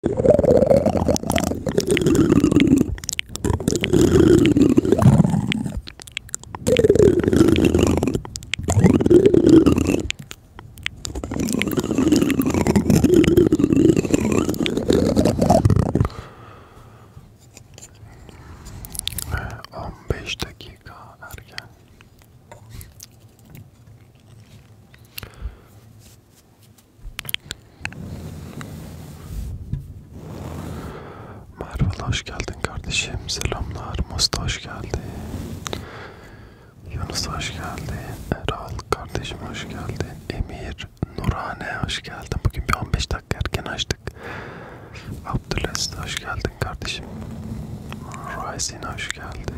15 dakika erken. Merve hoş geldin kardeşim. Selamlar. Musta hoş geldin. Yunus hoş geldin. Erol kardeşim hoş geldin. Emir, Nurhane hoş geldin. Bugün bir 15 dakika erken açtık. Abdülaziz hoş geldin kardeşim. Rising hoş geldin.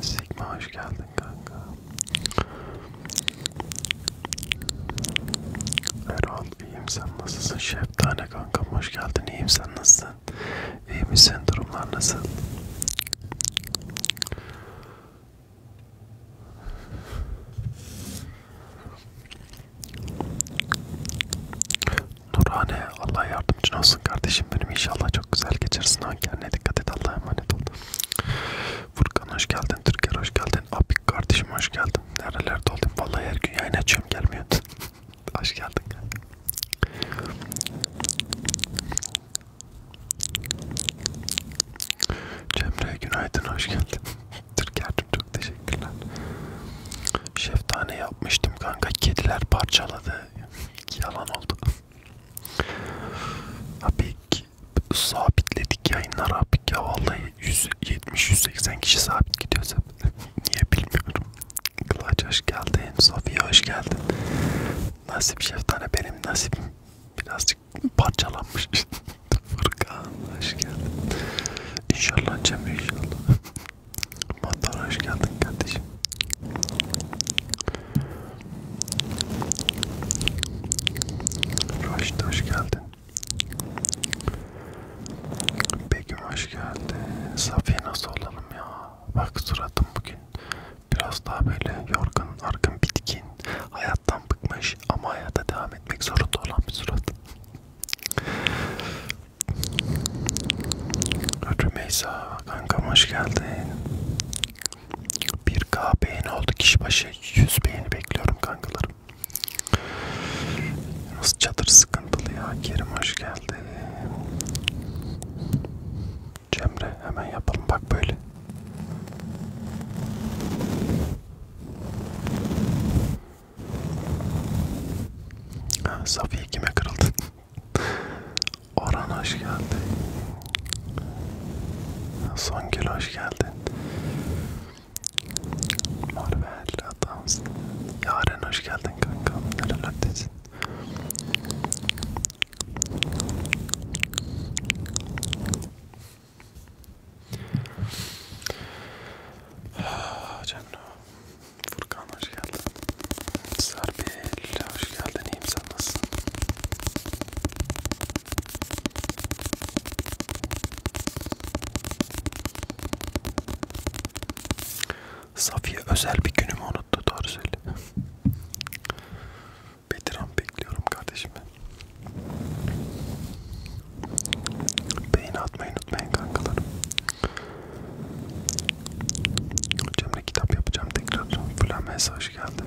Sigma hoş geldin geldin kanka. Erol iyiyim sen nasılsın? Şeftane kankam hoş geldin. İyiyim sen nasılsın? İyi misin? Durumlar nasıl? Nurhane Allah yardımcın olsun kardeşim benim inşallah çok güzel geçirsin ha kendine dikkat et Allah'a emanet ol Furkan hoş geldin, Türker hoş geldin, Apik kardeşim hoş geldin. Nerelerde oldun? Vallahi her gün yayın açıyorum gelmiyor. hoş geldin. Cemre günaydın hoş geldin. Türker'cim çok teşekkürler. Şeftane yapmıştım kanka. Kediler parçaladı. Yalan oldu. Abi sabitledik yayınlar abi ya vallahi 170-180 kişi sabit gidiyoruz hep. Niye bilmiyorum. Kılaç hoş geldin, Safiye hoş geldin. Nasip şeftane benim nasibim birazcık parçalanmış. Furkan hoş geldin. İnşallah Cem inşallah. Mantar hoş geldin kardeşim. Raşit hoş geldin. Begüm hoş geldi. Safiye nasıl olalım ya? Bak suratım bugün biraz daha böyle yorgun, argın, bitkin, hayattan bıkmış ama hayata devam etmek zorunda olan bir surat. Rümeysa kankam hoş geldin. 1K beğeni oldu kişi başı 100 beğeni bekliyorum kankalarım. Nasıl çadır sıkıntılı ya Kerim hoş geldi. Cemre hemen yapalım bak böyle. Ha, Safiye kime kırıldı? Orhan hoş geldi. Songül hoş geldin. Marvel adamsın. Yaren hoş geldin kankam. Nerelerdesin? Ah, Cemre, Furkan hoş geldin. Serpil hoş geldin. İyiyim sen nasılsın? Safiye özel bir günümü unuttu doğru söyle. Bediran bekliyorum kardeşim ben. Beyin atmayı unutmayın kankalarım. Cemre kitap yapacağım tekrar. Flames'e hoş geldin.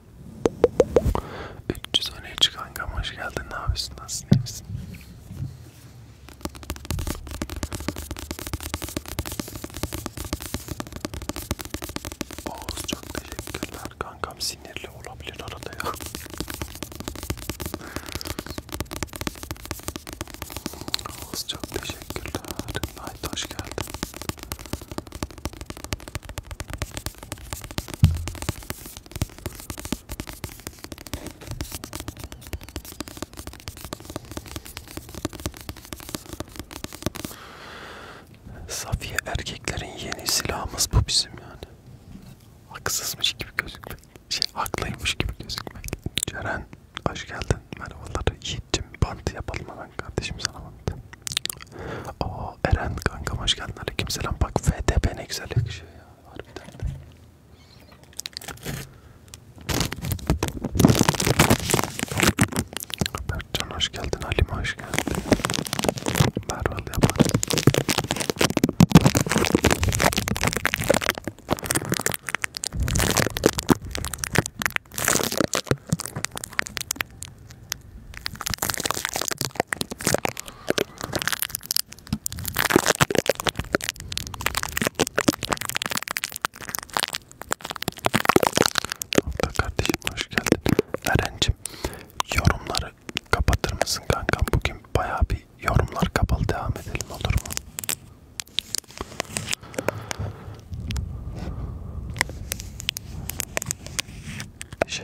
300 öne çıkan kankam hoş geldin. Ne yapıyorsun? Nasılsın? İyi misin? Oğuz çok teşekkürler. Kankam sinirli olabilir arada ya. Oğuz çok teşekkürler. Night hoş geldin. Safiye erkeklerin yeni silahımız bu bizim yani. Haksızmış gibi gözükmek. Şey, haklıymış gibi gözükmek. Ceren hoş geldin. Merhabalar. Yiğit'cim bant yapalım hemen kardeşim sana bant. Aa o Eren kanka hoş geldin aleykümselam. Bak FTP ne güzel yakışıyor ya. Harbiden de. Berkcan hoş geldin. Halime hoş geldin. Merval yapar. Kanka kardeşim hoş geldin. Eren'cim yorumları kapatır mısın kankam? Bugün bayağı bir yorumlar kapalı devam edelim olur mu?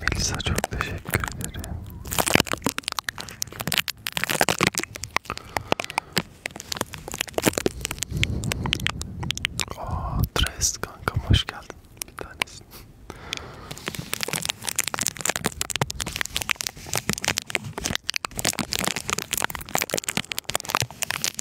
Melisa çok teşekkür ederim. Aa, Tres kankam hoş geldin. Bir tanesin.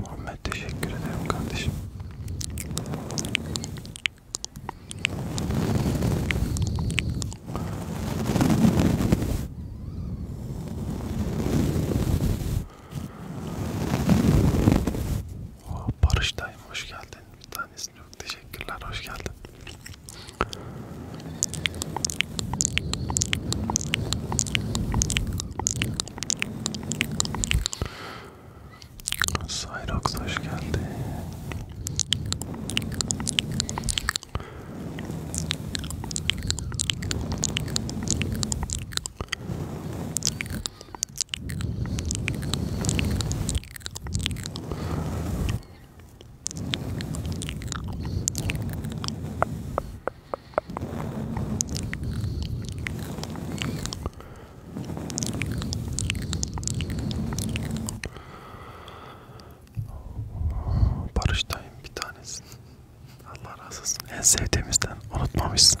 Muhammed teşekkür ederim kardeşim. Oh, Barış dayım hoş geldin. Bir tanesini yok. Teşekkürler hoş geldin. Cyrox hoş geldi. Barış'tayım bir tanesin. Allah razı olsun. En sevdiğimizden unutmamışsın.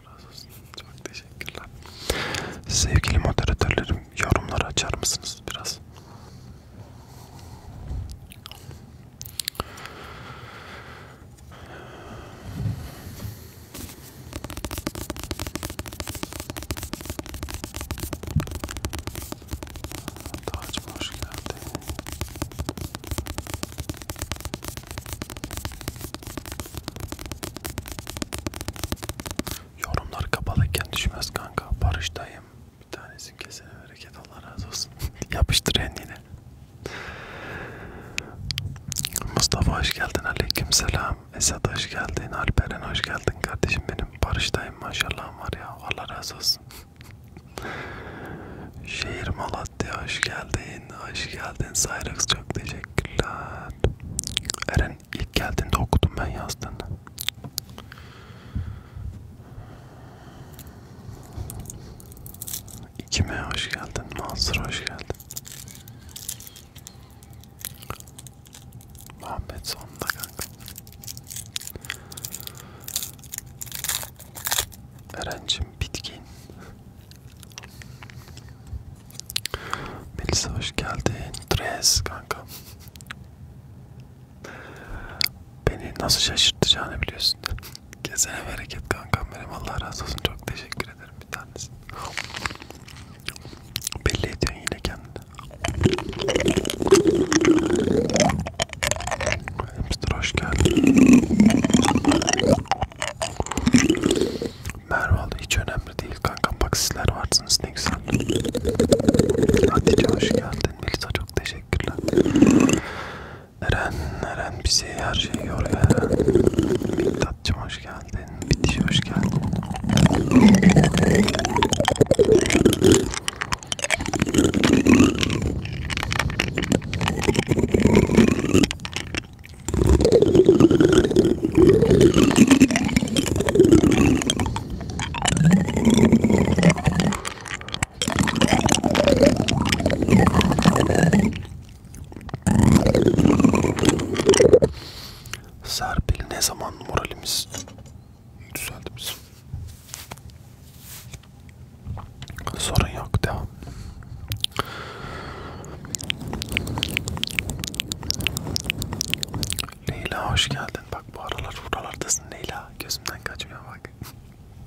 Allah razı olsun. Çok teşekkürler. Sevgili moderatörlerim, yorumları açar mısınız biraz? Tacım hoş geldin. Yorumlar kapalıyken düşmez kanka. Barıştayım. Bir tanesi kesene bereket Allah razı olsun. Yapıştır yine. Mustafa hoş geldin. Aleyküm selam. Esad hoş geldin. Alperen hoş geldin kardeşim benim. Barıştayım maşallah var ya. Allah razı olsun. Şehir Malatya hoş geldin. Hoş geldin Cyrix çok teşekkürler saat. Eren ilk geldiğinde okudum ben yazdığını. İkime hoş geldin, Mansur hoş geldin. Muhammed sonunda kanka. Erencim bitkin. Melisa hoş geldin. Tres kanka. Beni nasıl şaşırtacağını biliyorsun. Gezene bereket kankam benim. Allah razı olsun. Çok teşekkür ederim bir tanesi. Belli ediyorsun yine kendini. Hamster hoş geldin. Merve hiç önemli değil kankam bak sizler varsınız ne güzel. Hatice hoş geldin. Melisa çok teşekkürler. Eren, Eren bizi her şeyi yoruyor Eren. Miktatcım hoş geldin. Bitiş hoş geldin. Serpil ne zaman moralimiz düzeldi bizim? Sorun yok devam. Leyla hoş geldin. Bak bu aralar buralardasın Leyla. Gözümden kaçmıyor bak.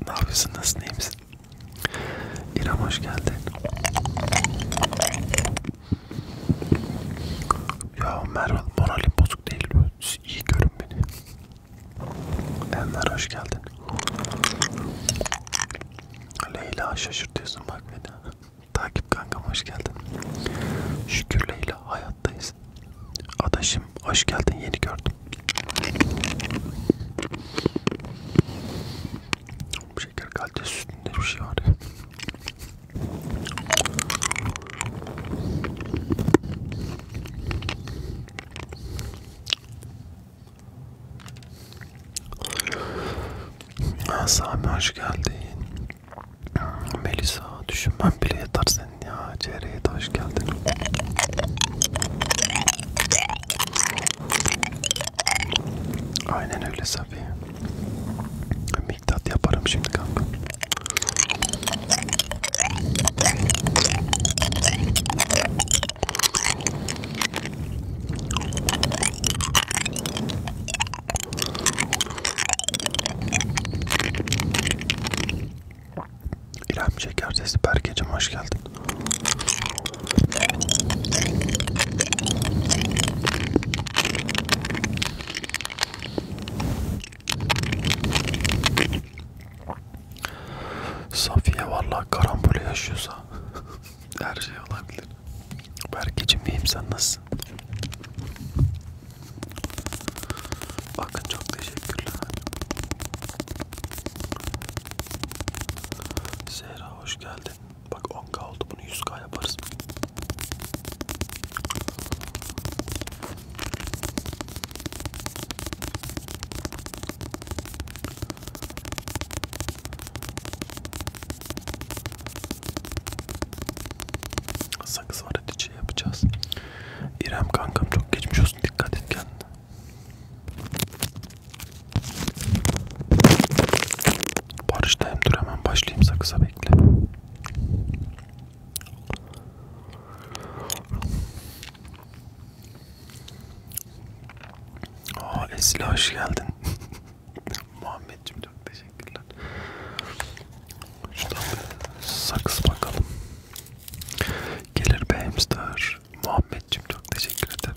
ne yapıyorsun? Nasılsın? İyi misin? İrem hoş geldin. Ya Merve moralim bozuk değil. İyi görün beni. Enver hoş geldin. Leyla şaşırtıyorsun bak beni. Takip kankam hoş geldin. Şükür Leyla hayattayız. Adaşım hoş geldin yeni gördüm. Şeker kalitesi üstünde bir şey var ya. Sami hoş geldin. Melisa düşünmem bile yeter senin ya. Çeyreğe de hoş geldin. Aynen öyle Safiye. Miktat yaparım şimdi kanka. İrem Şeker Sesi Berkeciğim hoş geldin. Safiye vallahi karambol yaşıyorsa Her şey olabilir. Berkeciğim iyiyim sen nasılsın? Bakın çok teşekkürler. Zehra hoş geldin. Bak 10k oldu bunu 100k yaparız. Sakız var hadi şey yapacağız. İrem kankam çok geçmiş olsun dikkat et kendine. Barıştayım dur hemen başlayayım sakıza bekle. Aa Esli hoş geldin. Muhammed'cim çok teşekkürler. Şuradan bir sakız bakalım. Gelir be hamster. Muhammed'cim çok teşekkür ederim.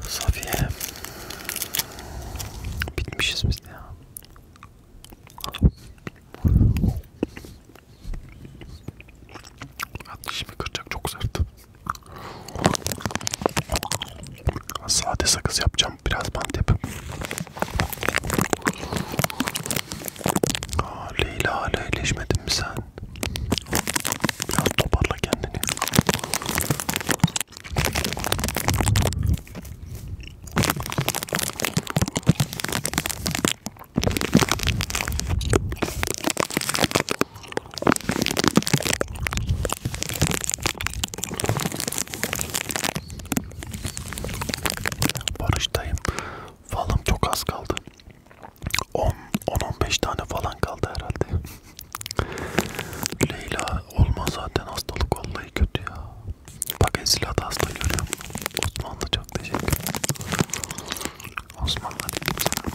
Safiye. Bitmişiz biz ya. At dişimi kıracak çok sert. Sade sakız yapacağım. Biraz bantep. Aa, Leyla leyleşmedin mi sen? Biraz toparla kendini. Barıştayım. Falım çok az kaldı. 10-15 tane falan kaldı herhalde. Leyla olma zaten hastalık vallahi kötü ya. Bak Esila da hasta görüyorum. Osmanlı çok teşekkür ederim. Osmanlı dedim sana.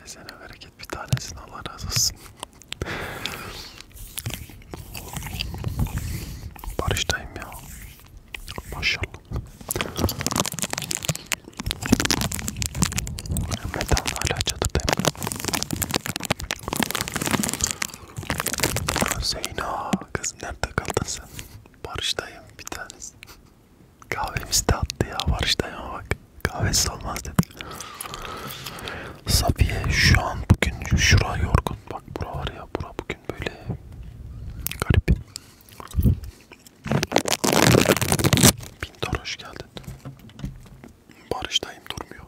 Kesene bereket bir tanesini Allah razı olsun. Barıştayım ya. Maşallah. Metan hala çatıdayım. Zeyna kız nerede kaldın sen? Barıştayım bir tanesi. Kahvemiz de attı ya Barış dayıma bak. Kahvesiz olmaz dedi. Safiye şu an bugün şura yorgun. Bak bura var ya bura bugün böyle garip. Pintar hoş geldin. Barış dayım durmuyor.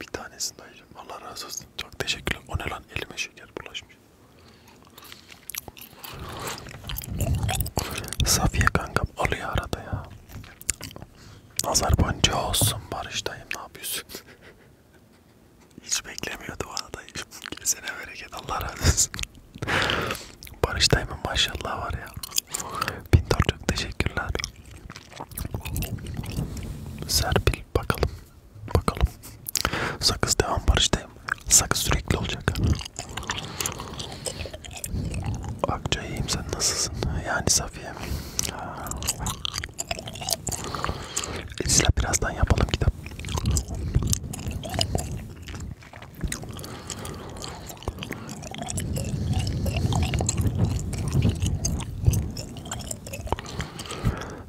Bir tanesini dayıcım. Allah razı olsun. Çok teşekkürler. O ne lan elime şeker bulaşmış. Safiye kankam alıyor arada ya. Nazar boncuğu olsun Barış dayım ne yapıyorsun? Hiç beklemiyordu bana dayım. Kesene bereket Allah razı olsun. Barış dayımın maşallah var ya. Pintor çok teşekkürler. Serpil bakalım. Bakalım. Sakız devam Barış dayım. Sakız sürekli olacak. Akça iyiyim sen nasılsın? Yani Safiye. Esra birazdan yapalım kitap.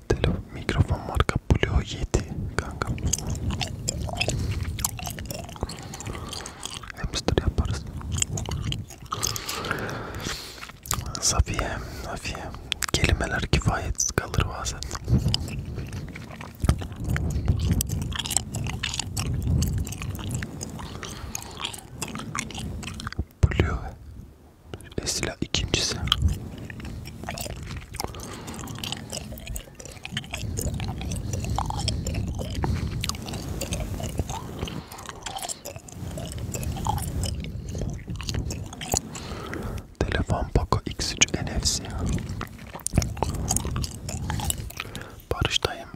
Telo mikrofon marka Blue 7 kanka hamster yaparız. Safiye, Safiye. Kelimeler kifayetsiz kalır bazen. Blue Esila ikincisi Telefon Poco X3 NFC. Barıştayım.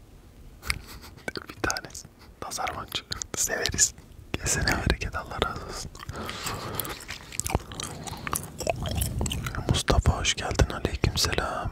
Bir tanesi. Nazarman çıktı. Severiz. Kesene hareket Allah razı olsun. Mustafa hoş geldin. Aleykümselam.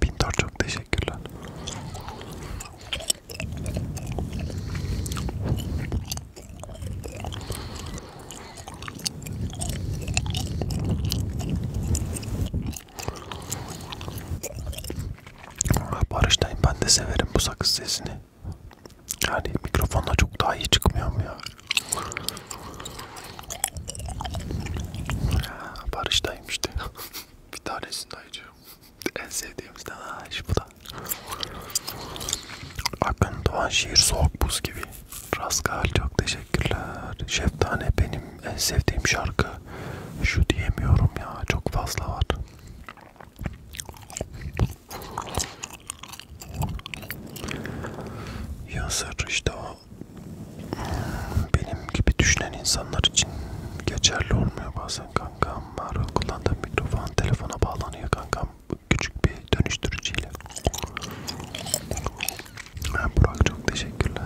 Pintor çok teşekkürler. Barıştayım ben de severim bu sakız sesini. Yani mikrofonla çok daha iyi çıkmıyor mu ya? Barış'tayım işte. Bir tanesini ayırıyorum. En sevdiğimizden ha iş bu da. Akın Doğan şiir soğuk buz gibi. Raskal çok teşekkürler. Şeftane benim en sevdiğim şarkı. Şu diyemiyorum ya çok fazla var. Yazar işte o benim gibi düşünen insanlar için geçerli olmuyor bazen kankam. Var kullandığım mikrofon telefona bağlanıyor kankam. Küçük bir dönüştürücüyle. Ha, Burak çok teşekkürler.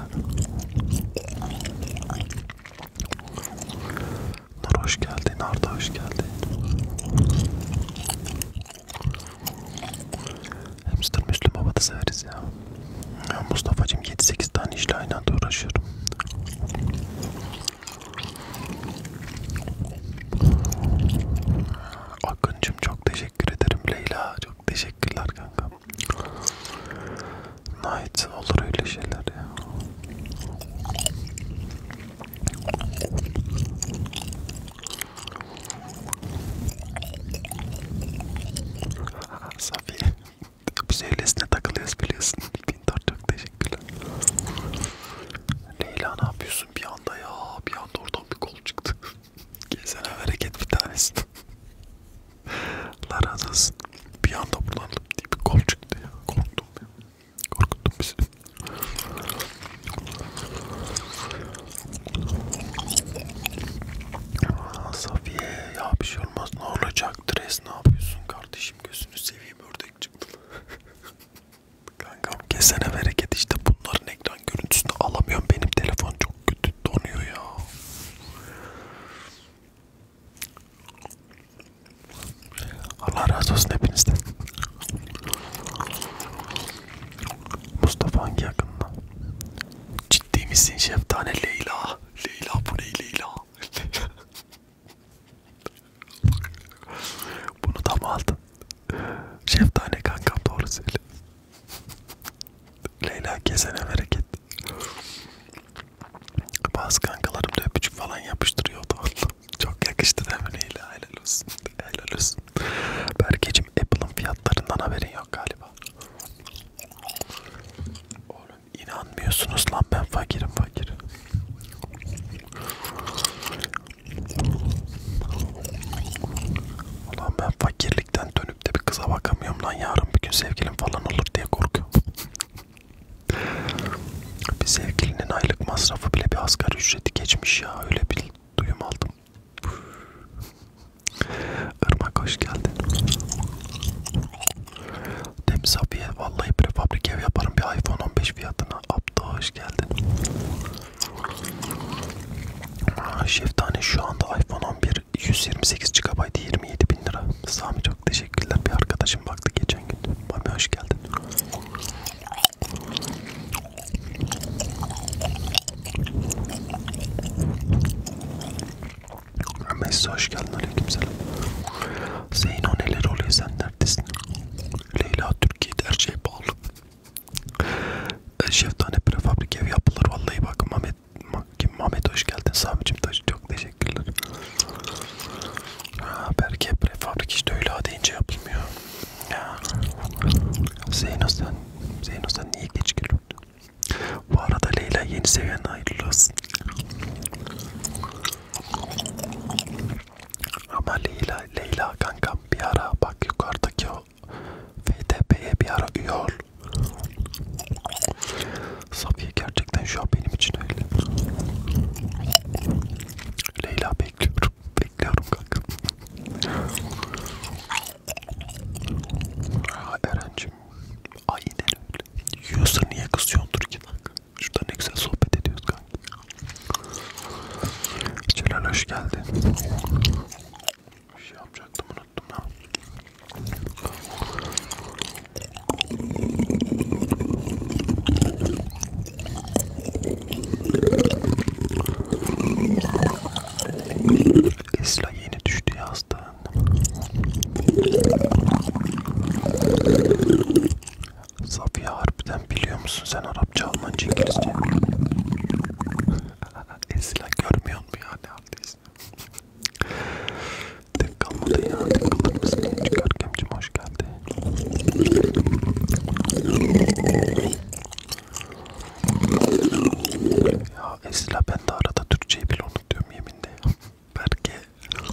Nur hoş geldin, Arda hoş geldin. Hamster Müslüm Baba da severiz ya. ya Mustafa'cım 7-8 tane işle aynı anda uğraşır. Akıncım çok teşekkür ederim Leyla. Çok teşekkürler kanka. Night olur öyle şeyler ya. Safiye Sevlesine takılıyoruz biliyorsun Pintor çok teşekkürler Leyla ne yapıyorsun bir anda ya Bir anda oradan bir kol çıktı Gezene hareket bir tanesi Allah razı olsun Bir anda buradan bir kol çıktı ya Korktum ya Korkuttum bizi Aa, Safiye ya bir şey olmaz ne olacaktır es ne yapıyorsun kardeşim gözünü seveyim ördek çıktı. Kankam kesene bereket işte bunların ekran görüntüsünü alamıyorum benim telefon çok kötü donuyor ya. Allah razı olsun hepinizden. Mustafa hangi yakında? Ciddi misin şeftane Leyla? Leyla bu ne Leyla? Bunu da mı aldın? Şeftane kankam doğru söyle. Leyla kesene bereket. Bazı kankalarım da öpücük falan yapıştırıyordu. Çok yakıştı değil mi Leyla? Helal olsun. Helal olsun. Berkeciğim Apple'ın fiyatlarından haberin yok galiba. Oğlum inanmıyorsunuz lan ben fakirim fakirim. Ulan ben fakirlikten dönüp de bir kıza bakamıyorum lan yarın bir gün sevgilim falan olur diye korkuyorum. bir sevgilinin aylık masrafı bile bir asgari ücreti geçmiş ya öyle bir duyum aldım. Irmak hoş geldin. Temiz abiye vallahi prefabrik ev yaparım bir iPhone 15 fiyatına. Abda hoş geldin. Şeftane şu anda iPhone 11 128 GB 27 bin lira. Sami çok teşekkürler. Bir arkadaşım baktı geçen gün. Mami hoş geldin. Messi hoş geldin aleykümselam. Zeyno neler oluyor sen neredesin? Leyla Türkiye'de her şey pahalı. Şeftane prefabrik ev yapılır vallahi bak Mehmet kim Mehmet hoş geldin Sami'cim taş çok teşekkürler. Ha, belki prefabrik işte öyle deyince yapılmıyor. Zeyno sen, Zeyno sen niye geç geliyorsun? Bu arada Leyla yeni seviyene hayırlı olsun. Ama Leyla, Leyla kankam bir ara bak yukarıdaki o FTP'ye bir ara üye ol. Safiye gerçekten şu an benim için öyle. Leyla bekliyor bekliyorum. Bekliyorum kanka. Eren'cim aynen öyle. Yiyorsa niye kızıyordur ki kanka? Şurada ne güzel sohbet ediyoruz kanka. Celal hoş geldin. Bir şey yapacaktım unuttum ha. Esra yeni düştü yastan. Safiye harbiden biliyor musun sen Arapça, Almanca, İngilizce? Esra görmüyor mu ya ne haldeyiz? Tek kalmadı ya, tek kalır mısın? Çıkar Kemcim hoş geldin. Ya Esra ben de arada Türkçeyi bile unutuyorum yeminle. Berke. Nur.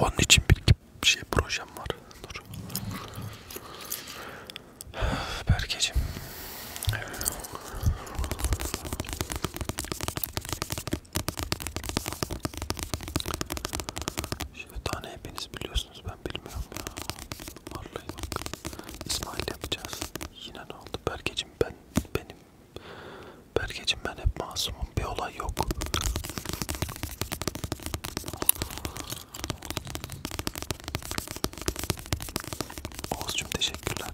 Onun için bir şey projem var. Nur. Berkeciğim. Şeftane hepiniz biliyorsunuz ben bilmiyorum ya. Vallahi bak. İsmail yapacağız. Yine ne oldu? Berkeciğim ben benim Berkeciğim ben hep masumum. Bir olay yok. Oğuzcum teşekkürler.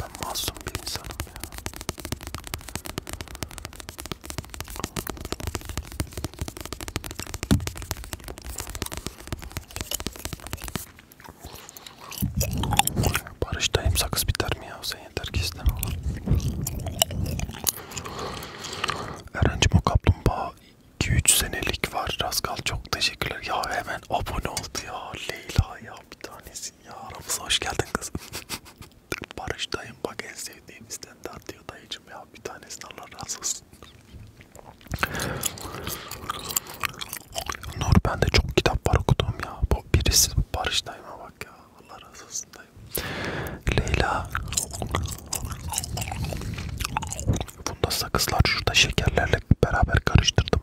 Ben masum bir insanım ya. Barış'tayım sakız biter mi ya? Sen yeter ki isteme oğlum. Eren'cim o kaplumbağa 2-3 senelik var. Raskal çok teşekkürler. Ya hemen abone oldu ya. Leyla ya bir tanesin ya. Aramıza hoş geldin kızım. Barış dayım bak en sevdiğim standart diyor dayıcım ya. Bir tanesin Allah razı olsun. Nur bende çok kitap var okuduğum ya. Bu birisi Barış dayıma bak ya. Allah razı olsun dayı. Leyla Bunda sakızlar şurada şekerlerle beraber karıştırdım.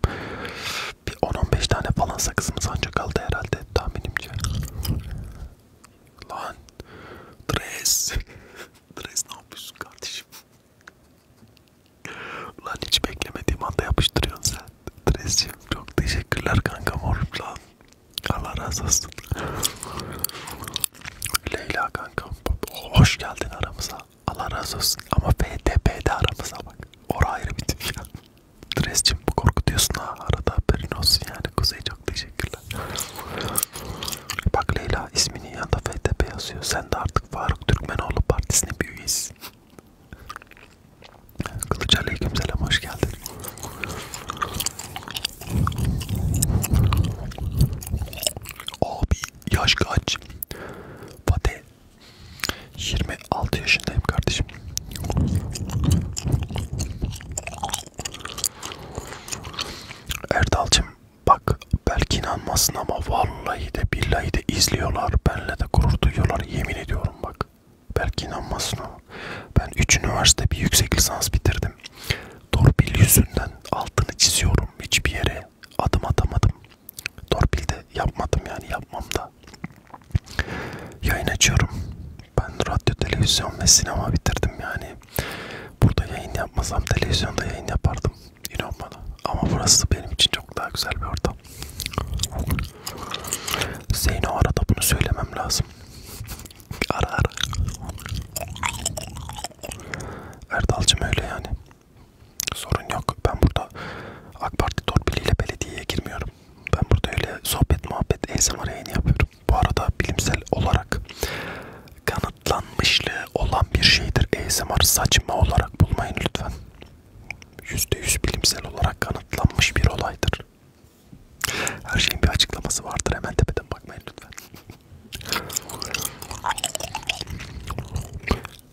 Bir 10-15 tane falan sakızımız ancak kaldı herhalde tahminimce. Lan Dres Dres ne yapıyorsun kardeşim? Lan hiç beklemediğim anda yapıştırıyorsun sen. Dresciğim çok teşekkürler kanka morum lan. Allah razı olsun. Leyla kanka hoş geldin aramıza. Allah razı olsun ama FTP'de aramıza bak. Orası ayrı bir tip ya. Drescim bu korkutuyorsun ha. Arada haberin olsun yani. Kuzey çok teşekkürler. Bak Leyla isminin yanında FTP yazıyor. Sen de artık Faruk Türkmenoğlu Partisi'nin bir üyesi. Kılıç Aleykümselam hoş geldin. Abi yaş kaç? Fatih 26 yaşındayım kardeşim. Erdal'cım bak belki inanmasın ama vallahi de billahi de izliyorlar. Benle de gurur duyuyorlar yemin ediyorum bak. Belki inanmasın ama. Ben 3 üniversite bir yüksek lisans bitirdim yüzünden, torpil yüzünden altını çiziyorum hiçbir yere adım atamadım. Torpilde yapmadım yani yapmam da. Yayın açıyorum. Ben radyo, televizyon ve sinema bitirdim yani. Burada yayın yapmasam televizyonda yayın yapardım. İnan bana. Ama burası benim için çok daha güzel bir ortam. Zeyno arada bunu söylemem lazım. Ara ara. Erdal'cım öyle yani. Sorun yok. Ben burada AK Parti torpiliyle belediyeye girmiyorum. Ben burada öyle sohbet muhabbet ASMR yayını yapıyorum. Bu arada bilimsel olarak kanıtlanmışlığı olan bir şeydir. ASMR saçma olarak bulmayın lütfen. %100 bilimsel olarak kanıtlanmış bir olaydır. Her şeyin bir açıklaması vardır. Hemen tepeden bakmayın lütfen.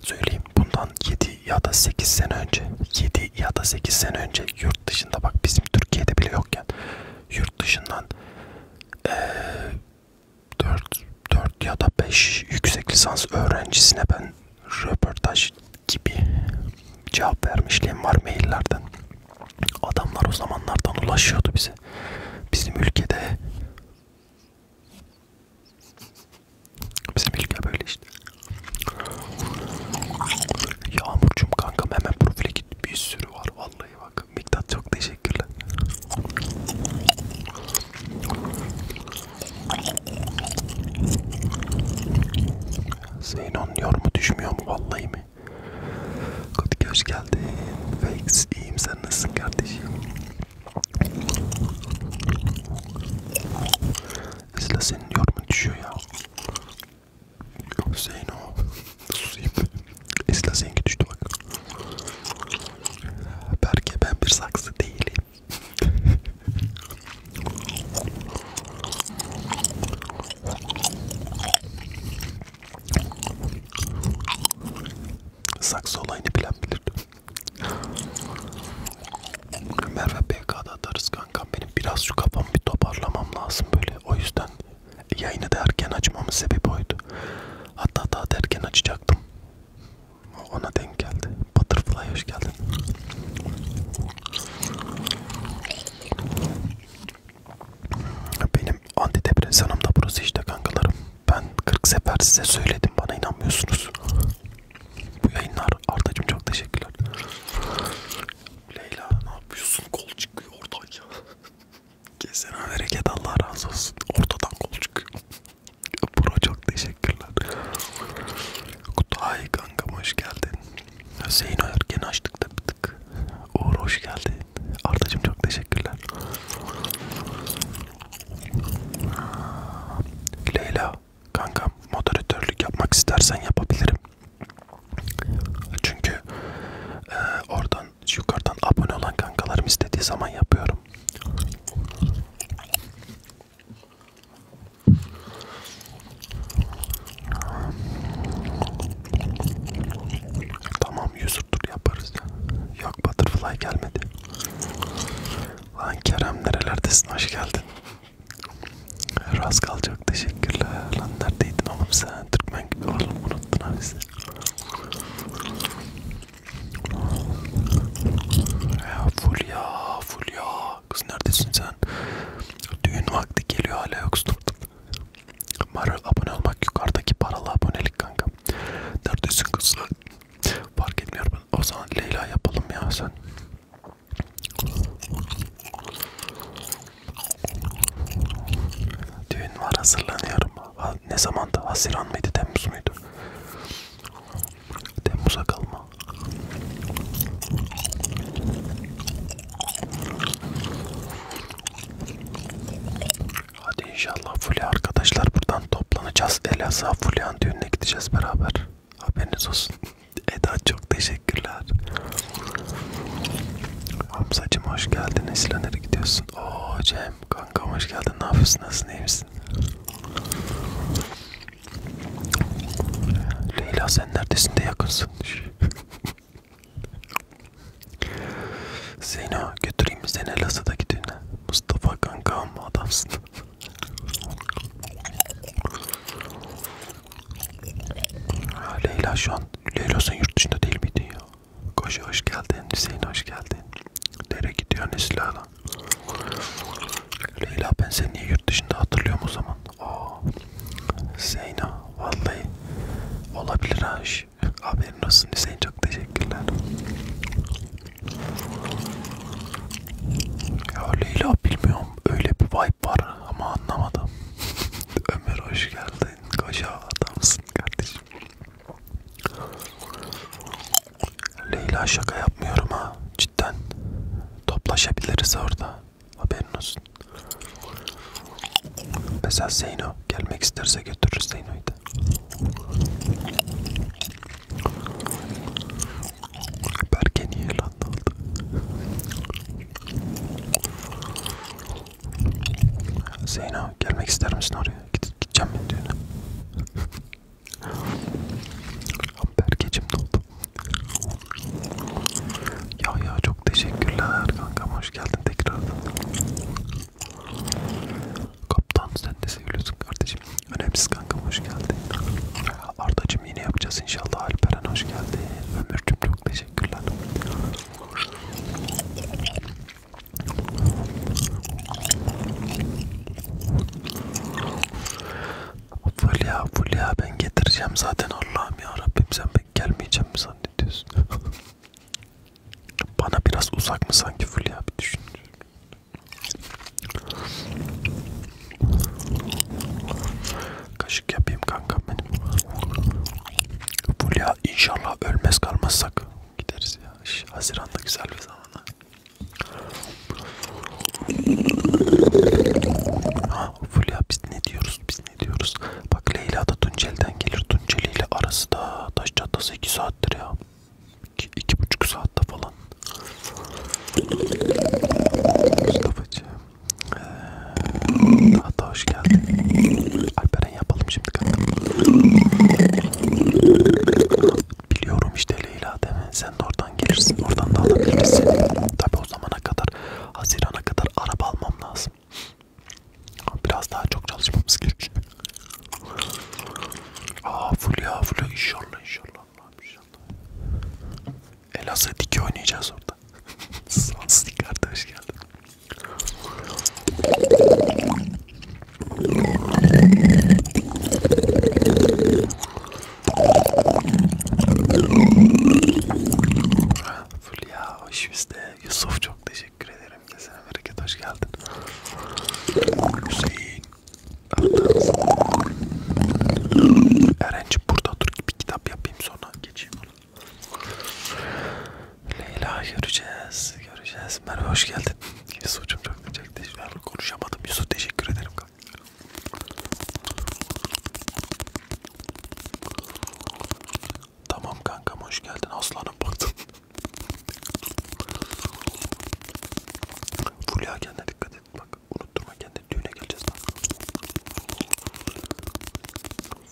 Söyleyeyim bundan 7 ya da 8 sene önce 7 ya da 8 sene önce yurt dışında bak bizim Türkiye'de bile yokken yurt dışından ee, 4, 4 ya da 5 yüksek lisans öğrencisine ben röportaj gibi cevap vermişliğim var maillerden Adamlar o zamanlardan ulaşıyordu bize. Bizim ülkede bizim ülke böyle işte. Yağmurcum kankam hemen profile git. Bir sürü var vallahi bak. Miktat çok teşekkürler. Zeynon yorumu düşmüyor mu vallahi mi? Kutik hoş geldin. Fakes iyiyim sen nasılsın kardeşim? Esla senin yorumun düşüyor ya. Hüseyin o. Susayım. Esla seninki düştü bak. Berke ben bir saksı değilim. Saksı olayını bilen bilir. Merve PK'da atarız kankam benim. Biraz şu kafamı bir toparlamam lazım böyle. O yüzden yayını da erken açmamın sebebi oydu. Hatta daha da erken açacaktım. Ona denk geldi. Butterfly hoş geldin. Benim antidepresanım da burası işte kankalarım. Ben 40 sefer size söyledim bana inanmıyorsunuz. Bu yayınlar Arda'cığım çok teşekkürler. Leyla ne yapıyorsun kol çıkıyor oradan ya. Gezene bereket Allah razı olsun. Ortadan kol çıkıyor. Bro çok teşekkürler. Kutay kankam hoş geldin. Hüseyin Ergen açtık da bir tık. Uğur hoş geldin. Ardacığım çok teşekkürler. Leyla kankam moderatörlük yapmak istersen yapabilirim. Çünkü e, oradan yukarıdan abone olan kankalarım istediği zaman yapıyorum. Tamam user tur yaparız. Yok Butterfly gelmedi. Lan Kerem nerelerdesin hoş geldin. Raskal çok teşekkürler. Lan neredeydin oğlum sen? Türkmen oğlum unuttun ha bizi. Ya full ya full ya. Kız neredesin sen? Düğün vakti geliyor hala yoksun. Mara abone olmak yukarıdaki paralı abonelik kanka. Neredesin kızlar? Fark etmiyor ben. O zaman Leyla yapalım ya sen. Düğün var hazırlanıyorum. Ha, ne zamanda? Haziran mıydı? Temmuz muydu? Temmuz'a kalma. Hadi inşallah Fulya arkadaşlar buradan toplanacağız. Elazığ Fulya'nın düğününe gideceğiz beraber. Haberiniz olsun. Eda çok teşekkürler. Hamzacım hoş geldin. Esra nereye gidiyorsun? Oo Cem kanka hoş geldin. Ne yapıyorsun? Nasılsın? İyi misin? Leyla sen neredesin de yakınsın. Zeyno götüreyim seni Elazığ'daki düğüne. Mustafa kankam adamsın. ha, Leyla şu an Leyla sen yurt dışında değil miydin ya? Koşu hoş geldin, Hüseyin hoş geldin. Nereye gidiyorsun Esra'la? Leyla ben seni niye yurt dışında hatırlıyorum o zaman? Aa, Zeyno vallahi olabilir ha gelmiş. Haberin olsun Hüseyin çok teşekkürler. Ya Leyla bilmiyorum öyle bir vibe var ama anlamadım. Ömer hoş geldin. Koca adamsın kardeşim. Leyla şaka yapmıyorum ha. Cidden. Toplaşabiliriz orada. Haberin olsun. Mesela Zeyno gelmek isterse götürürüz Zeyno'yu da. Berke niye lan oldu? Zeyno gelmek ister misin oraya? Gide gideceğim ben düğüne. Berkeciğim ne oldu? Ya ya çok teşekkürler kankam hoş hoş geldin tekrardan. Kaptan sen de seviyorsun kardeşim. Önemsiz kankam hoş geldin. Ardacım yine yapacağız inşallah. Alperen hoş geldi. Ömürcüm çok teşekkürler. Fulya Fulya ben getireceğim zaten Allah'ım ya Rabbim sen pek gelmeyeceğim mi zannediyorsun? Bana biraz uzak mı sanki Fulya bir düşün. Kaşık yapayım kanka benim. Fulya inşallah ölmez kalmazsak gideriz ya. Haziranda güzel bir zamana. Ha, Fulya biz ne diyoruz biz? ne diyoruz? Bak Leyla da Tuncel'den gelir. Tunceli ile arası da taş çatlası 2 saattir ya. 2,5 saatte falan. Mustafa'cığım. Ee, daha da hoş geldin. Alperen yapalım şimdi kanka. Biliyorum işte Leyla değil mi? Sen de oradan gelirsin. Oradan da alabilirsin. Tabi o zamana kadar Haziran'a kadar araba almam lazım. Biraz daha çok çalışmamız gerekiyor. Aa full ya full inşallah inşallah Allah'ım inşallah. Elazığ diki oynayacağız orada. Sans dik kardeş geldi. Fulya hoş bizde. Yusuf çok teşekkür ederim. Kerim kesene bereket hoş geldin. Hüseyin. Erenci burada dur bir kitap yapayım sonra geçeyim onu. Leyla göreceğiz, göreceğiz. Merve hoş geldin. Yusuf'cum çok teşekkür ederim. Konuşamadım. Yusuf teşekkür ederim. Tamam kankam hoş geldin aslanım baktım. Fulya kendine dikkat et bak unutturma kendini düğüne geleceğiz lan.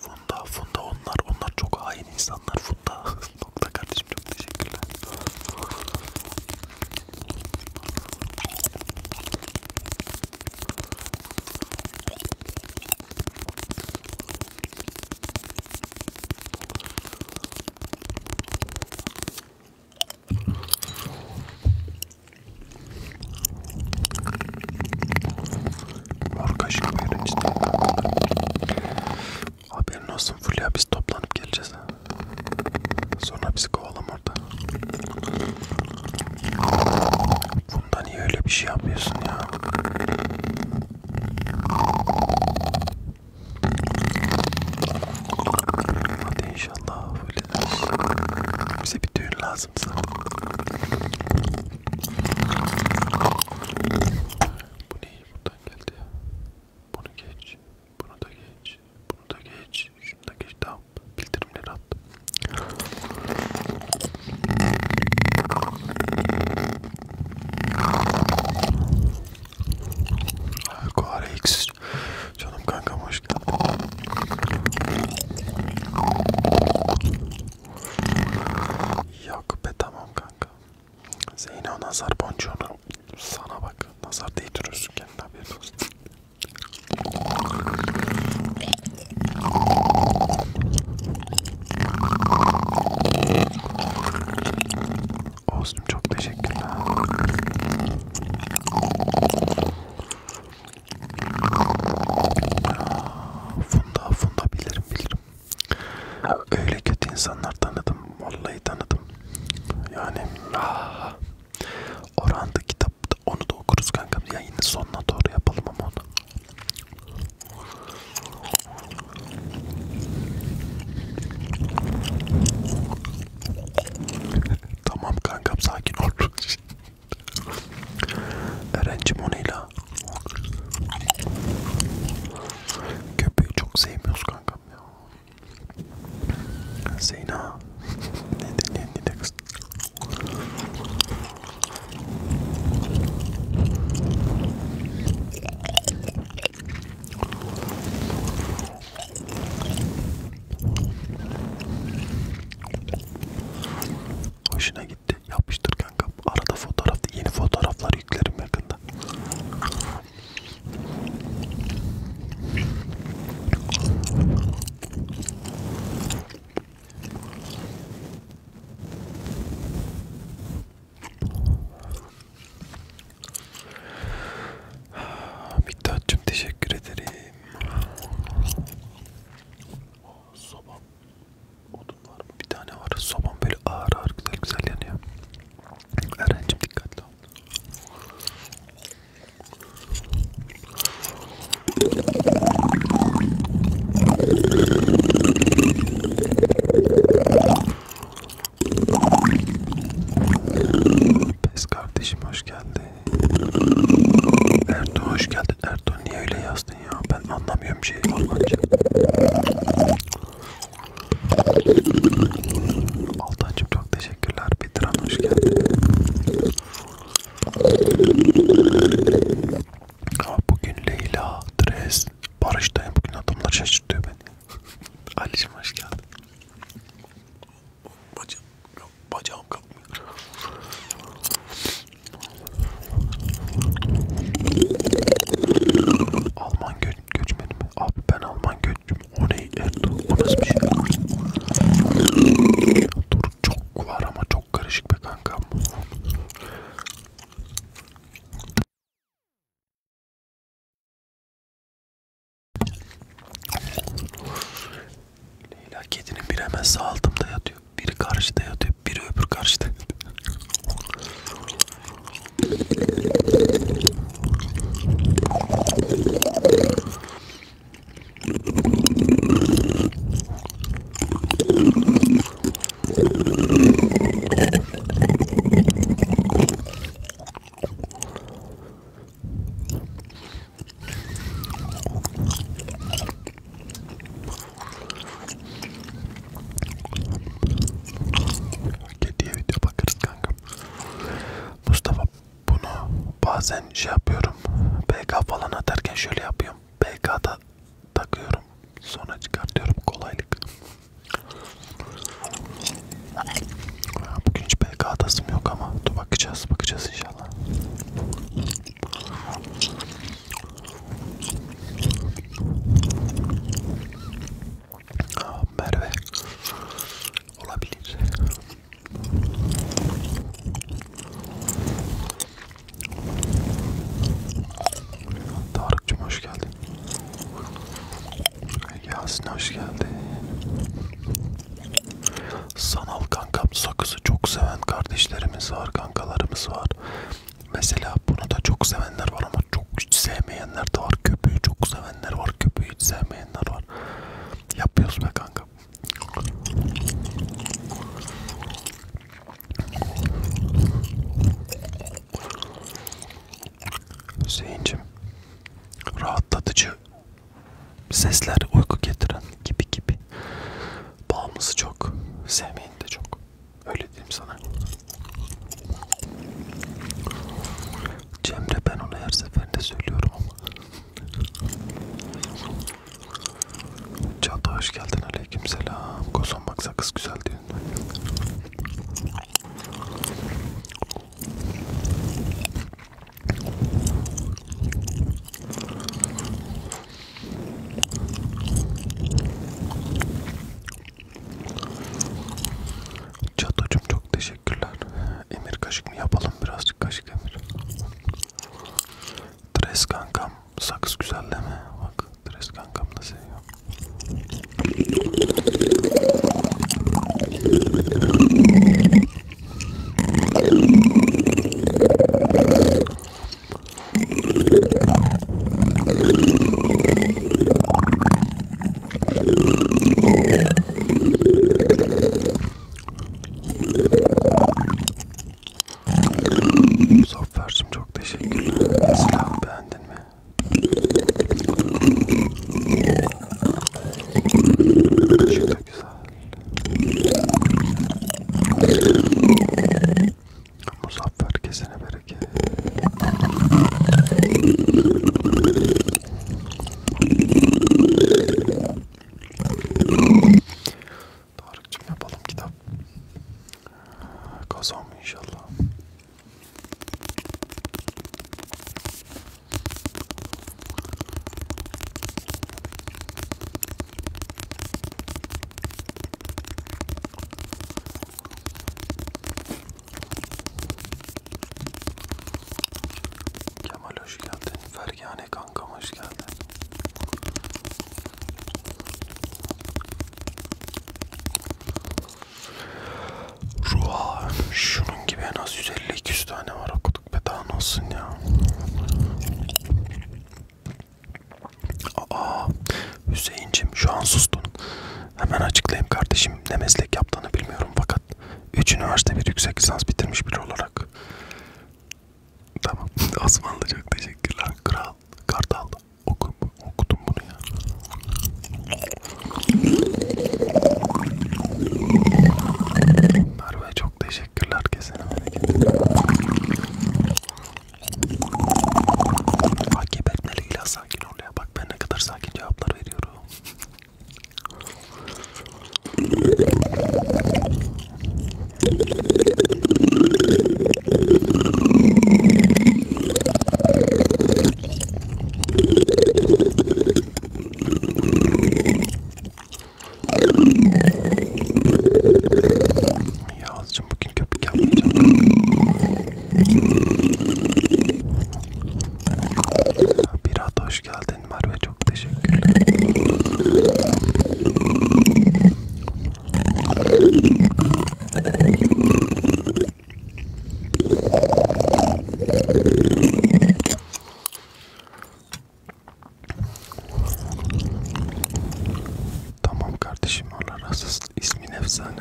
Funda Funda onlar onlar çok hain insanlar Funda. Nokta kardeşim çok teşekkürler. Mor kaşık işte. Haberin olsun Fulya biz toplanıp geleceğiz. Sonra bizi kovalam orada. Bundan niye öyle bir şey yapıyorsun ya? Hadi inşallah öyle Bize bir düğün lazım zaten. Bu ne buradan geldi ya? Bunu geç, bunu da geç, bunu da geç, şunu da geç tamam. Bildirimleri attım. Kuare X. Canım kankam hoş geldin. Yok be tamam kanka. Zeyno nazar boncuğunu sana bak. Nazar değdiriyorsun kendine haberin olsun. Olsun çok teşekkürler. Funda funda bilirim bilirim. Öyle kötü insanlar tanıdım. Vallahi tanıdım. Yani ah. Oranda kitap onu da okuruz kankam. Yayının sonuna doğru yapalım ama onu. tamam kankam sakin ol. Öğrencim onayla. Köpeği çok sevmiyoruz kankam ya. Zeyna. ne de ne de kız. Hoşuna gitti. Yapıştır kanka. Arada fotoğraf, yeni fotoğraflar yüklerim yakında. Miktat'cığım teşekkür ederim. Oh, sobam. Odun var mı? Bir tane var. Sobam böyle ağır ağır güzel güzel yanıyor. Eren'cim dikkatli ol. Pes kardeşim hoş geldin. Ertuğ hoş geldin. Ertuğ niye öyle yazdın ya? Ben anlamıyorum şeyi. Almanca. Altancım çok teşekkürler. Bitiran hoş geldin. Bugün Leyla, Dres, Barış'tayım. Bugün adamlar şaşırtıyor beni. Ali'cim hoş geldin. Bacağım, bacağım kalkmıyor. Alman gö göçmeni mi? Abi ben Alman göçüm. O ne Ertuğ? O nasıl bir şey? Dur çok var ama çok. Çok karışık be kankam. Leyla kedinin biri hemen sağ altımda yatıyor. Biri karşıda yatıyor. Biri öbür karşıda yatıyor. Kediye video bakarız kanka. Mustafa bunu bazen şey yapıyorum. BK falan atarken şöyle yapıyorum. BK'da takıyorum sonra çıkartıyorum kolaylık bugün hiç PK atasım yok ama dur bakacağız bakacağız inşallah Aa, Merve olabilir Tarık'cım hoş geldin. Yasin hoş geldin. Sanal kankam sakızı çok seven kardeşlerimiz var, kankalarımız var. Mesela bunu da çok sevenler var ama çok hiç sevmeyenler de var. Köpüğü çok sevenler var, köpüğü hiç sevmeyenler var. Yapıyoruz be kanka. Hüseyin'cim rahatlatıcı sesler uyku getiren gibi gibi bağımlısı çok sevmeyin de çok öyle diyeyim sana Cemre ben onu her seferinde söylüyorum ama Çağatay hoş geldin aleykümselam Koson baksa kız güzel edin. Çatocuğum çok teşekkürler. Emir kaşık mı yapalım biraz kaşık Emir. Tres kankam Sakız güzel değil mi? Bak Dres kankam da seviyor. Muzaffer'cim çok teşekkürler. Silahı beğendin mi? Çok da güzel. Muzaffer kesene bereket. Tarık'cığım yapalım kitap. Kazan inşallah. Kemal hoş geldin. Fergane kankam hoş geldin. Ruha şunun gibi en az 150-200 tane var okuduk be daha ne olsun ya. Aa Hüseyincim şu an sustun. Hemen açıklayayım kardeşim ne meslek yaptığını bilmiyorum fakat 3 üniversite bir yüksek lisans bitirmiş biri olarak. Tamam Osmanlı çok teşekkürler kral kartal okum, okudum bunu ya. Merve çok teşekkürler kesene Takip etmeli İlyas sakin ol ya. Bak ben ne kadar sakin cevaplar veriyorum. Yağızcığım bugün köpük yapmayacağım. Birat hoş geldin Merve çok teşekkür ederim. Tamam kardeşim oralar asıl ismin efsane.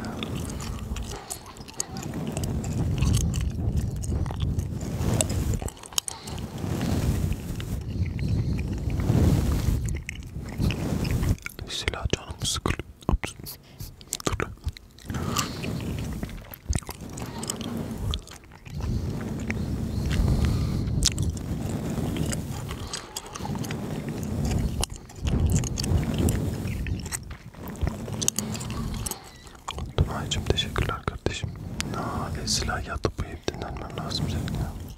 Silah can canım sıkılıyor. Tunay'cım teşekkürler kardeşim. Aa, silah yatıp uyuyup dinlenmen lazım senin ya.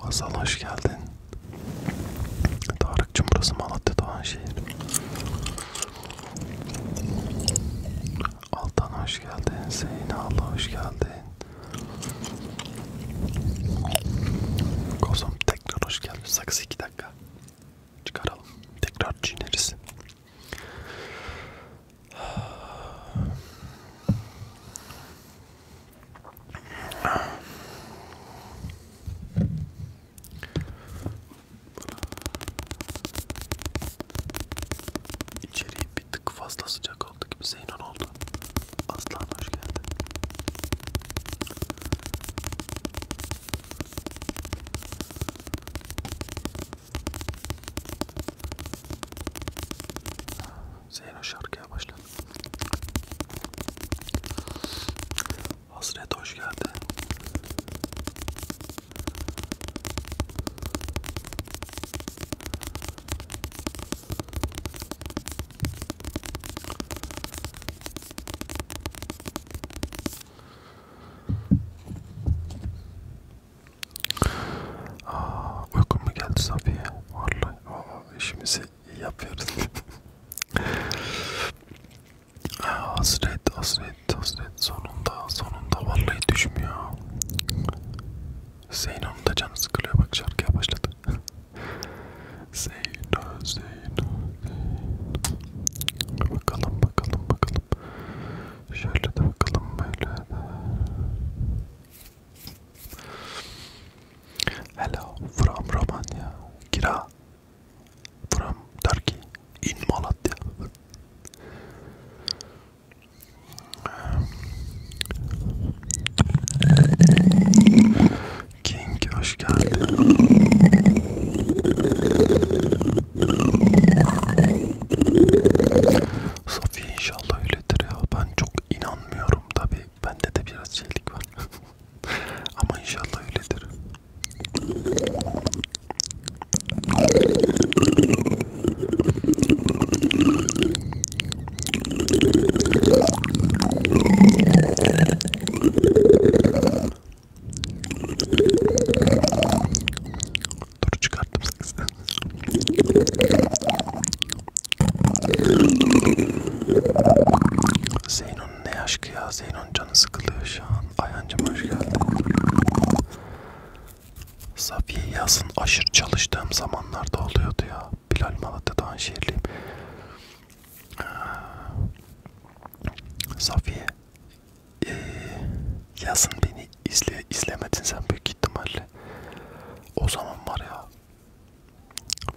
Hasan hoş geldin. Tarık'cığım burası Malatya Doğanşehir. Altan hoş geldin. Zeyna Allah hoş geldin. Kozum tekrar hoş geldin. Saksı 2 dakika çıkaralım. Tekrar çiğneriz. İçeri bir tık fazla sıcak oldu gibi Zeynon oldu. Aslan hoş geldin. Zeyno şarkıya başladı. Hasret hoş geldi. Aa, uykum mu geldi Safiye? Vallahi aa, işimizi iyi yapıyoruz. hasret, hasret, hasret. Sonunda, sonunda vallahi düşmüyor. Zeyno'nun da canı sıkılıyor. Bak şarkıya başladı. Zeyno, Zeyno. Bakalım bakalım bakalım. Şöyle de bakalım böyle de. Hello from Romanya. Kira. From Turkey. In Malatya. King hoş geldin. Safiye inşallah öyledir ya. Ben çok inanmıyorum tabi. Bende de biraz şeylik var. Ama inşallah öyledir. Dur çıkarttım sakızdan. Zeynon ne aşkı ya? Zeynon canı sıkılıyor şu an. Ayancım hoş geldin. Safiye yazın aşırı çalıştığım zamanlarda oluyordu ya. Bilal Malatya'dan şehirliyim. Ee, Safiye e, yazın beni izle, izlemedin sen büyük ihtimalle. O zaman var ya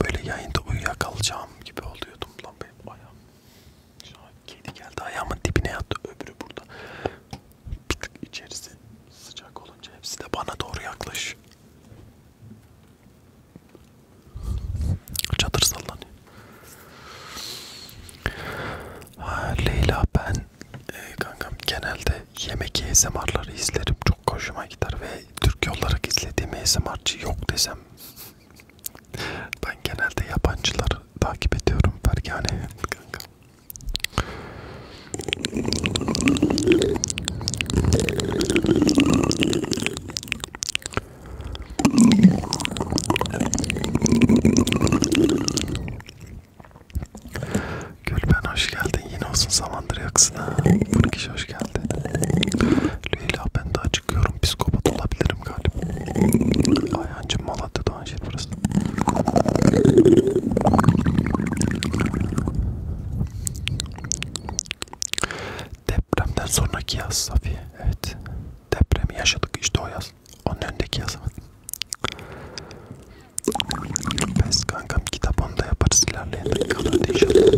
böyle yayında uyuyakalacağım gibi oluyordum lan benim ayağım. Şu an kedi geldi ayağımın dibine yattı öbürü burada. Bir tık içerisi sıcak olunca hepsi de bana doğru yaklaş. Çadır sallanıyor. Ha, Leyla ben e, kankam genelde yemek ASMR'ları izlerim. Çok hoşuma gider ve Türkiye olarak izlediğim ASMR'cı yok desem. Ben genelde yabancıları takip ediyorum. Fergane kanka. Gülben hoş geldin. Yine olsun zamandır yaksın ha. Fırkiş hoş geldin. Leyla ben daha çıkıyorum. Psikopat olabilirim galiba. Ayhancım Malatya'da Anşir burası. Depremden sonraki yaz Safiye. Evet. Depremi yaşadık işte o yaz. Onun önündeki yazı. Pes kankam kitap onu da yaparız ilerleyen dakikalarda inşallah.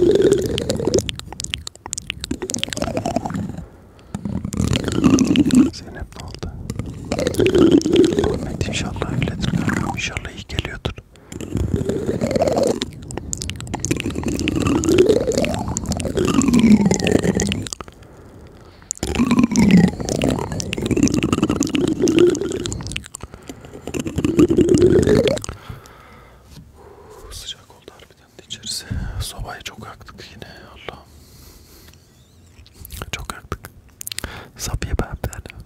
Zeynep ne oldu? Ahmet inşallah öyledir kankam inşallah iyi geliyordur. Sıcak oldu harbiden de içerisi. Sobayı çok yaktık yine Allah'ım. Çok yaktık. Sabiye ben derdim.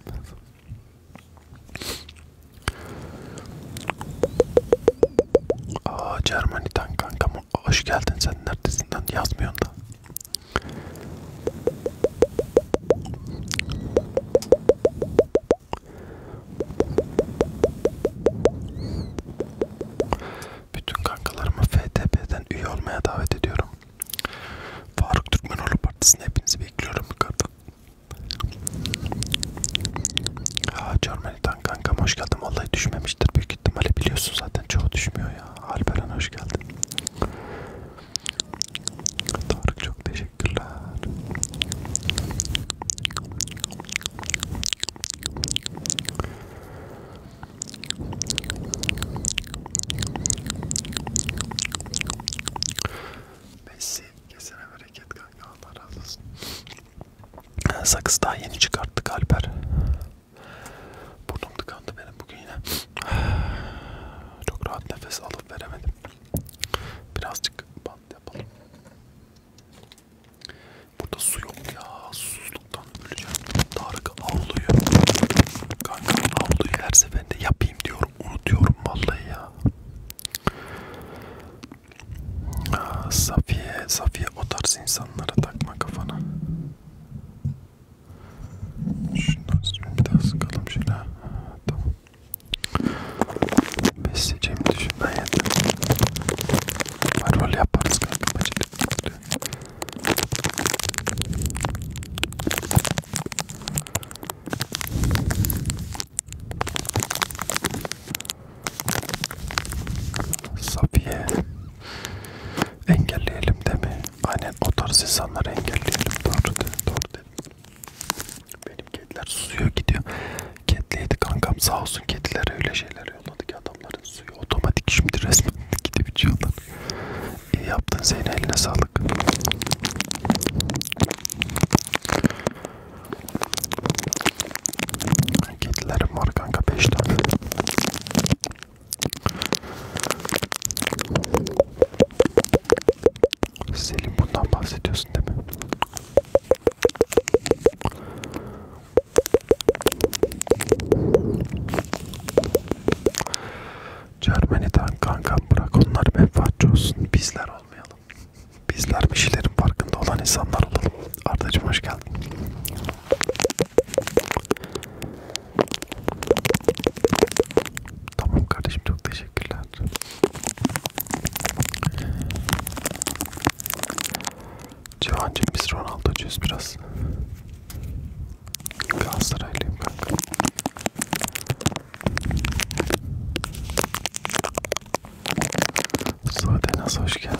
Aa Cermani'den kanka hoş geldin sen neredesin lan yazmıyorsun da. Bütün kankalarımı FTP'den üye olmaya davet ediyorum. Faruk Türkmenoğlu Partisi'ne hepinizi bekliyorum. Aa Cermani'den kankam hoş geldin vallahi düşmemiştir büyük ihtimali biliyorsun zaten çoğu düşmüyor ya. Alperen hoş geldin. Tarık çok teşekkürler. Messi kesene bereket kanka Allah razı olsun. Sakız daha yeni çıkarttık Alper. Burnum tıkandı benim bugün yine. Çok rahat nefes alıp veremedim. Birazcık bant yapalım. Burada su yok ya. Susuzluktan öleceğim. Tarık avluyu. Kanka avluyu her seferinde yapayım diyorum. Unutuyorum vallahi ya. Safiye, Safiye diye o tarz insanlara takma kafana. Şundan bir daha sıkalım şöyle. Ha, tamam. Besleyeceğimi düşünmen yeter. Marol yaparız kanka bacakları. Safiye engelleyelim de mi? Aynen o tarz insanları engelleyelim. Doğru dedi, doğru dedi. Benim kediler susuyor gidiyor. Kediliydi kankam sağ olsun kedilere öyle şeyler yolladı ki adamların suyu otomatik şimdi resmen gidip içiyorlar. İyi yaptın Zeynep eline sağlık. Kedilerim var kanka 5 tane. Selim bundan bahsediyorsun değil mi? Cermani'den kankam bırak onlar menfaatçi olsun bizler olmayalım. Bizler bir şeylerin farkında olan insanlar olalım. Ardacım hoş geldin. Tamam kardeşim çok teşekkürler. Civan James Ronaldo cüz biraz. Galatasaraylıyım kanka. Sude nasıl hoş geldin?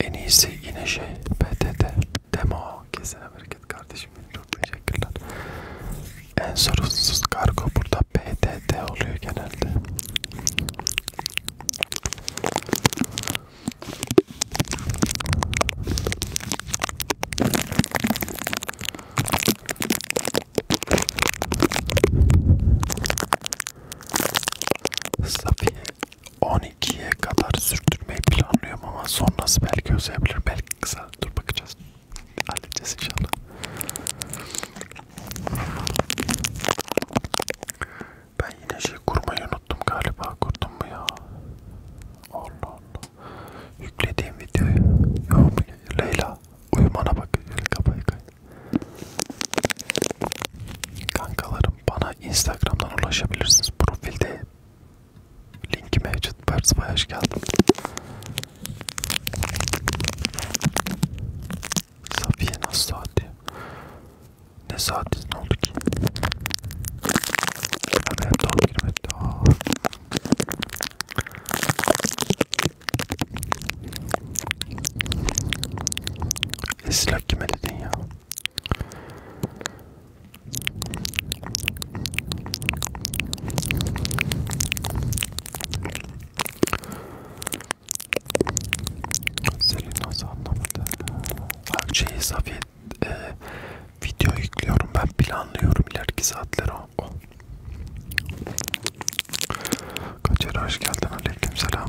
En iyisi yine şey PTT Demo kesin hareket kardeşim çok teşekkürler. En sorunsuz kargo burada PTT oluyor genelde. Safiye 12'ye kadar sürdürmeyi planlıyorum ama sonrası belki uzayabilir, belki kısa. Dur bakacağız. Halledeceğiz inşallah. Ben yine şey kurmayı unuttum galiba. Kurdum mu ya? Allah Allah. Yüklediğim videoyu. Yok Leyla uyumana bak. Kapayı kay. Kankalarım bana Instagram'dan ulaşabilirsiniz. Profilde Linki mevcut. Perspa'ya hoş geldin. Safiye nasıl saati? Ne saatiz ne oldu ki? Haber doğru girmedi. Aa. Esra kime dedin ya? Seni nasıl anlamadı? Şey Safiye e, video yüklüyorum ben planlıyorum ileriki saatleri o. Oh. Kaçer hoş geldin aleyküm selam.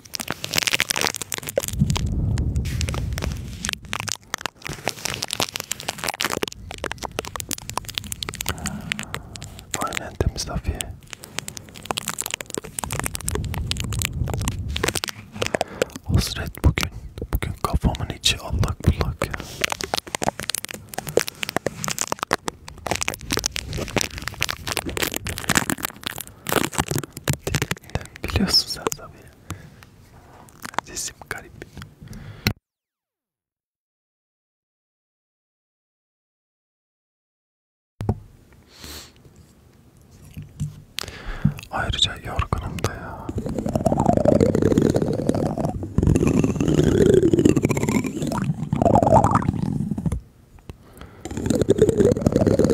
Aynen temiz Afiye. Hasret bugün. Bugün kafamın içi allak bullak ya. Biliyorsun sen tabii. Sesim garip. Ayrıca yorgunum da ya. Merhaba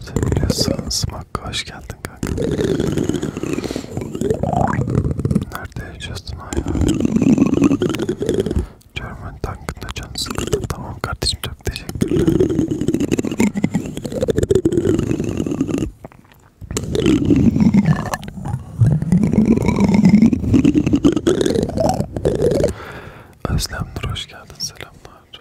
sevgili Sığınsmak, hoş geldin kanka. Nerede yaşıyorsun hayal? German tankında can sıkıldı. Tamam kardeşim çok teşekkürler. Özlem Nur hoş geldin selamlar.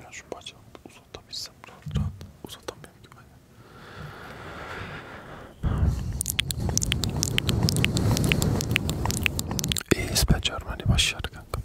Ya şu bacağımı uzatabilsem rahat rahat uzatamıyorum ki ben. İyiyiz be Cermani başarı kanka.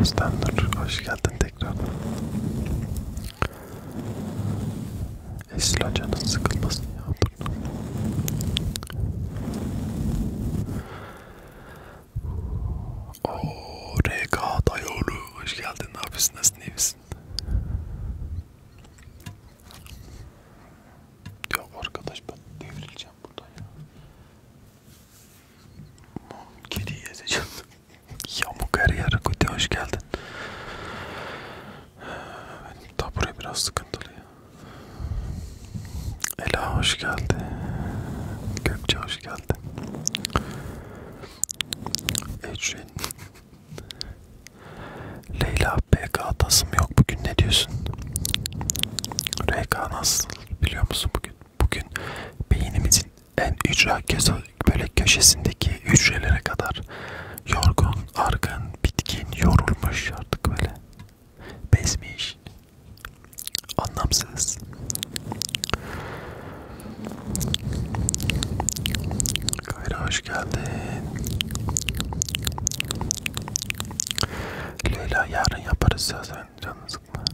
Özlem Nur, hoş geldin tekrar. Esil canın sıkılmasın ya. Dur. Ooo RK Dayoğlu, hoş geldin. Ne yapıyorsun? Nasılsın? İyi misin? Ya arkadaş ben devrileceğim burada ya. Kediyi ezeceğim. Yamuk her yere kuti hoş geldin. Benim tabure biraz sıkıntılı ya. Ela hoş geldi. Gökçe hoş geldi. Ecrin. Leyla PK tasım yok bugün ne diyorsun? RK nasıl? biliyor musun bugün? Bugün beynimizin en ücra böyle köşesindeki hücrelere kadar yorgun, argın, bitkin, yorulmuş artık böyle. Bezmiş. Anlamsız. Kayra hoş geldin. Leyla yarın yaparız zaten canını sıkma.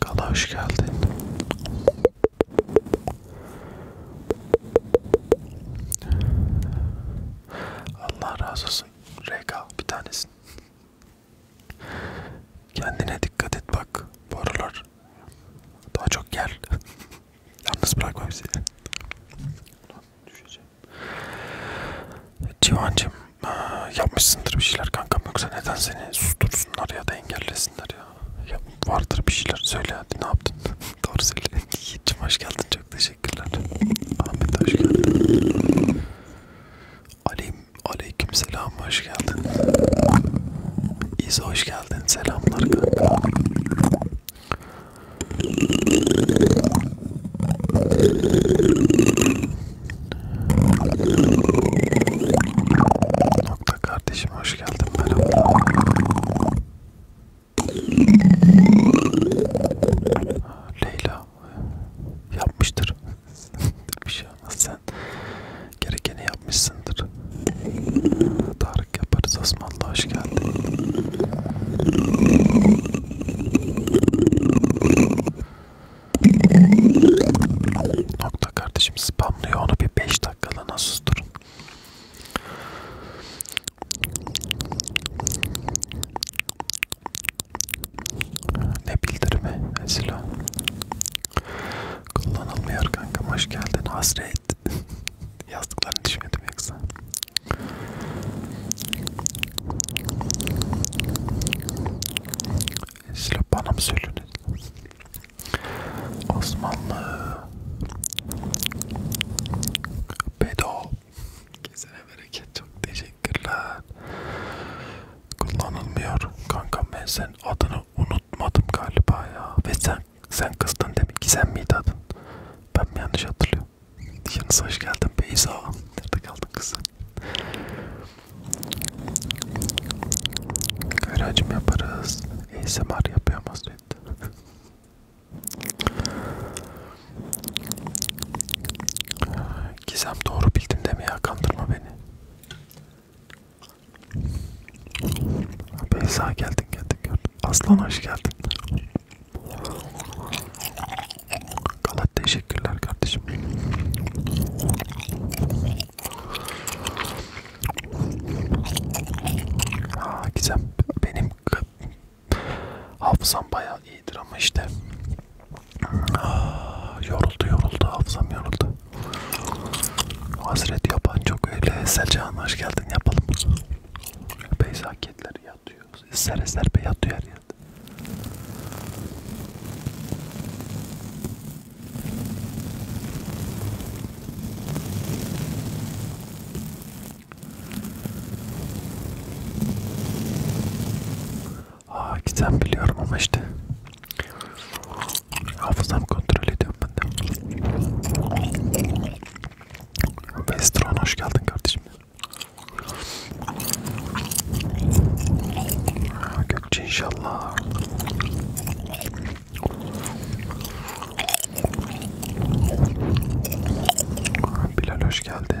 Kala hoş geldin. Allah razı olsun. Reka bir tanesin. Kendine dikkat et bak bu aralar. Daha çok gel. Yalnız bırakma bizi. Düşeceğim. Civancım yapmışsındır bir şeyler kankam yoksa neden seni sustursunlar ya da engellesinler ya. ya vardır bir şeyler söyle hadi ne yaptın? Doğru söyle. Yiğit'cim hoş geldin çok teşekkürler. Ahmet hoş geldin. Ali Aleyküm selam, hoş geldin. İzo hoş geldin, selamlar kanka. Nokta kardeşim hoş geldin merhaba. Leyla yapmıştır. bir şey olmaz sen gerekeni yapmışsındır. Tarık yaparız Osmanlı hoş geldin. Nokta kardeşim spamlıyor onu bir 5 dakikalığına susturun. Ne bildirimi mesela? Kullanılmıyor kanka. Hoş geldin hasret. Yazdıklarını düşmedim yoksa. Esra bana mı söylüyorsunuz? Osmanlı Bedo Kesene bereket çok teşekkür teşekkürler. Kullanılmıyor. Kanka ben sen adını unutmadım galiba ya. Ve sen sen kızdın demin ki sen miydi adın? Ben mi yanlış hatırlıyorum? Yanınıza hoş geldin Beyza. Nerede kaldın kızım? Kayracım yaparız. ASMR yapıyor Masret. Gizem doğru bildin deme ya kandırma beni. Beyza geldin geldin gördüm. Aslan hoş geldin. Galat teşekkürler kardeşim. Aa, güzel. Benim hafızam bayağı iyidir ama işte Ah, yoruldu yoruldu hafızam yoruldu. Hazret yapan çok öyle. Selcan hoş geldin yapalım. Beyzaketler yatıyor. Eser eser be yatıyor her yerde. Aa gizem biliyorum ama işte hafızam kontrol ediyorum ben de. Vestron hoş geldin kardeşim. Gökçe inşallah. Bilal hoş geldin.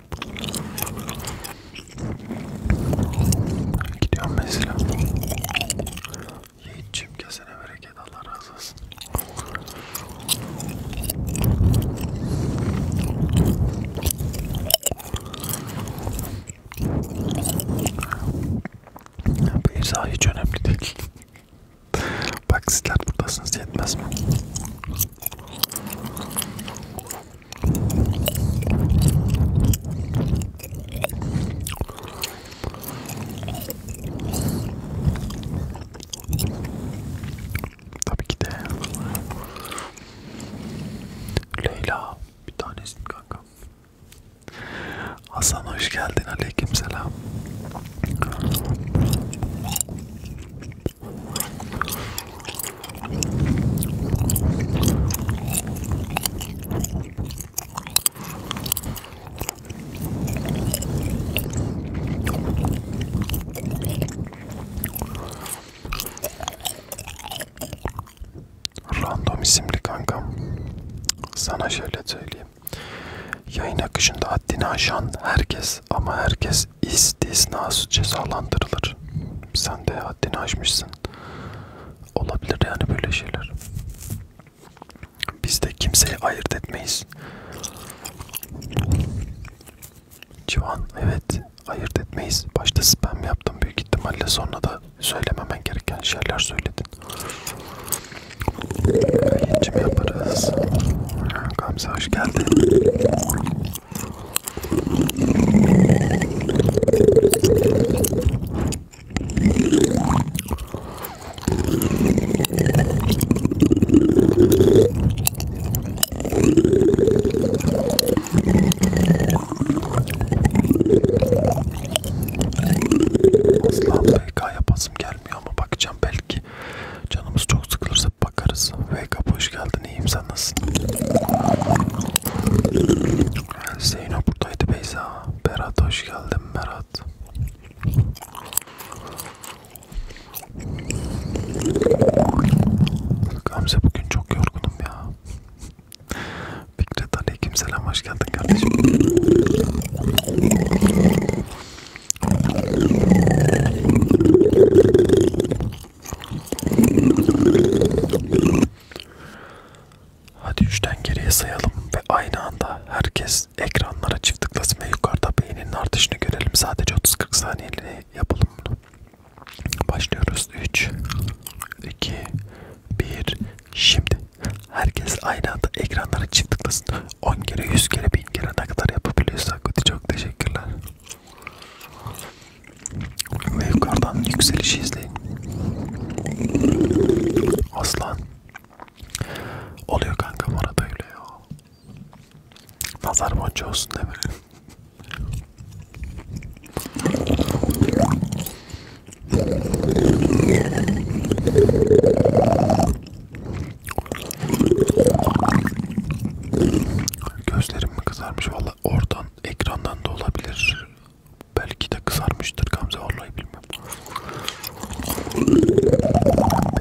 Gidiyorum mesela. Yiğitçim kesene bereket Allah razı olsun. Bir izah hiç önemli değil. Bak sizler buradasınız yetmez mi? Tabii ki de Leyla bir tanesin kanka. Hasan hoş geldin. Aleykümselam. Random isimli kankam. Sana şöyle söyleyeyim. Yayın akışında haddini aşan herkes ama herkes istisnası cezalandırılır. Sen de haddini aşmışsın. Olabilir yani böyle şeyler. Biz de kimseyi ayırt etmeyiz. Civan evet ayırt etmeyiz. Başta spam yaptım büyük ihtimalle sonra da söylememen gereken şeyler söyledin. Yayıncım yaparız. Gamze hoş geldin. Asla VK yapasım gelmiyor ama bakacağım belki canımız çok sıkılırsa bakarız. VK hoş geldin nasılsın? İyiyim sen nasılsın? Zeyno buradaydı Beyza. Berat hoş geldin Berat. Gamze bugün çok yorgunum ya. Fikret aleyküm selam hoş geldin kardeşim. Hadi üçten geriye sayalım ve aynı anda herkes ekranlara çift tıklasın ve yukarıda beyninin artışını görelim. Sadece 30-40 saniyeli yapalım bunu. Başlıyoruz. 3, 2, 1, şimdi. Herkes aynı anda ekranlara çift tıklasın. 10 kere, 100 kere, 1000 kere ne kadar yapabiliyorsak. Çok teşekkürler. Ve yukarıdan yükselişi izleyin. Aslan. Oluyor kanka orada öyle ya. Nazar boncuğu olsun değil mi? Gözlerim mi kızarmış vallahi Valla oradan ekrandan da olabilir. Belki de kızarmıştır Gamze vallahi bilmiyorum.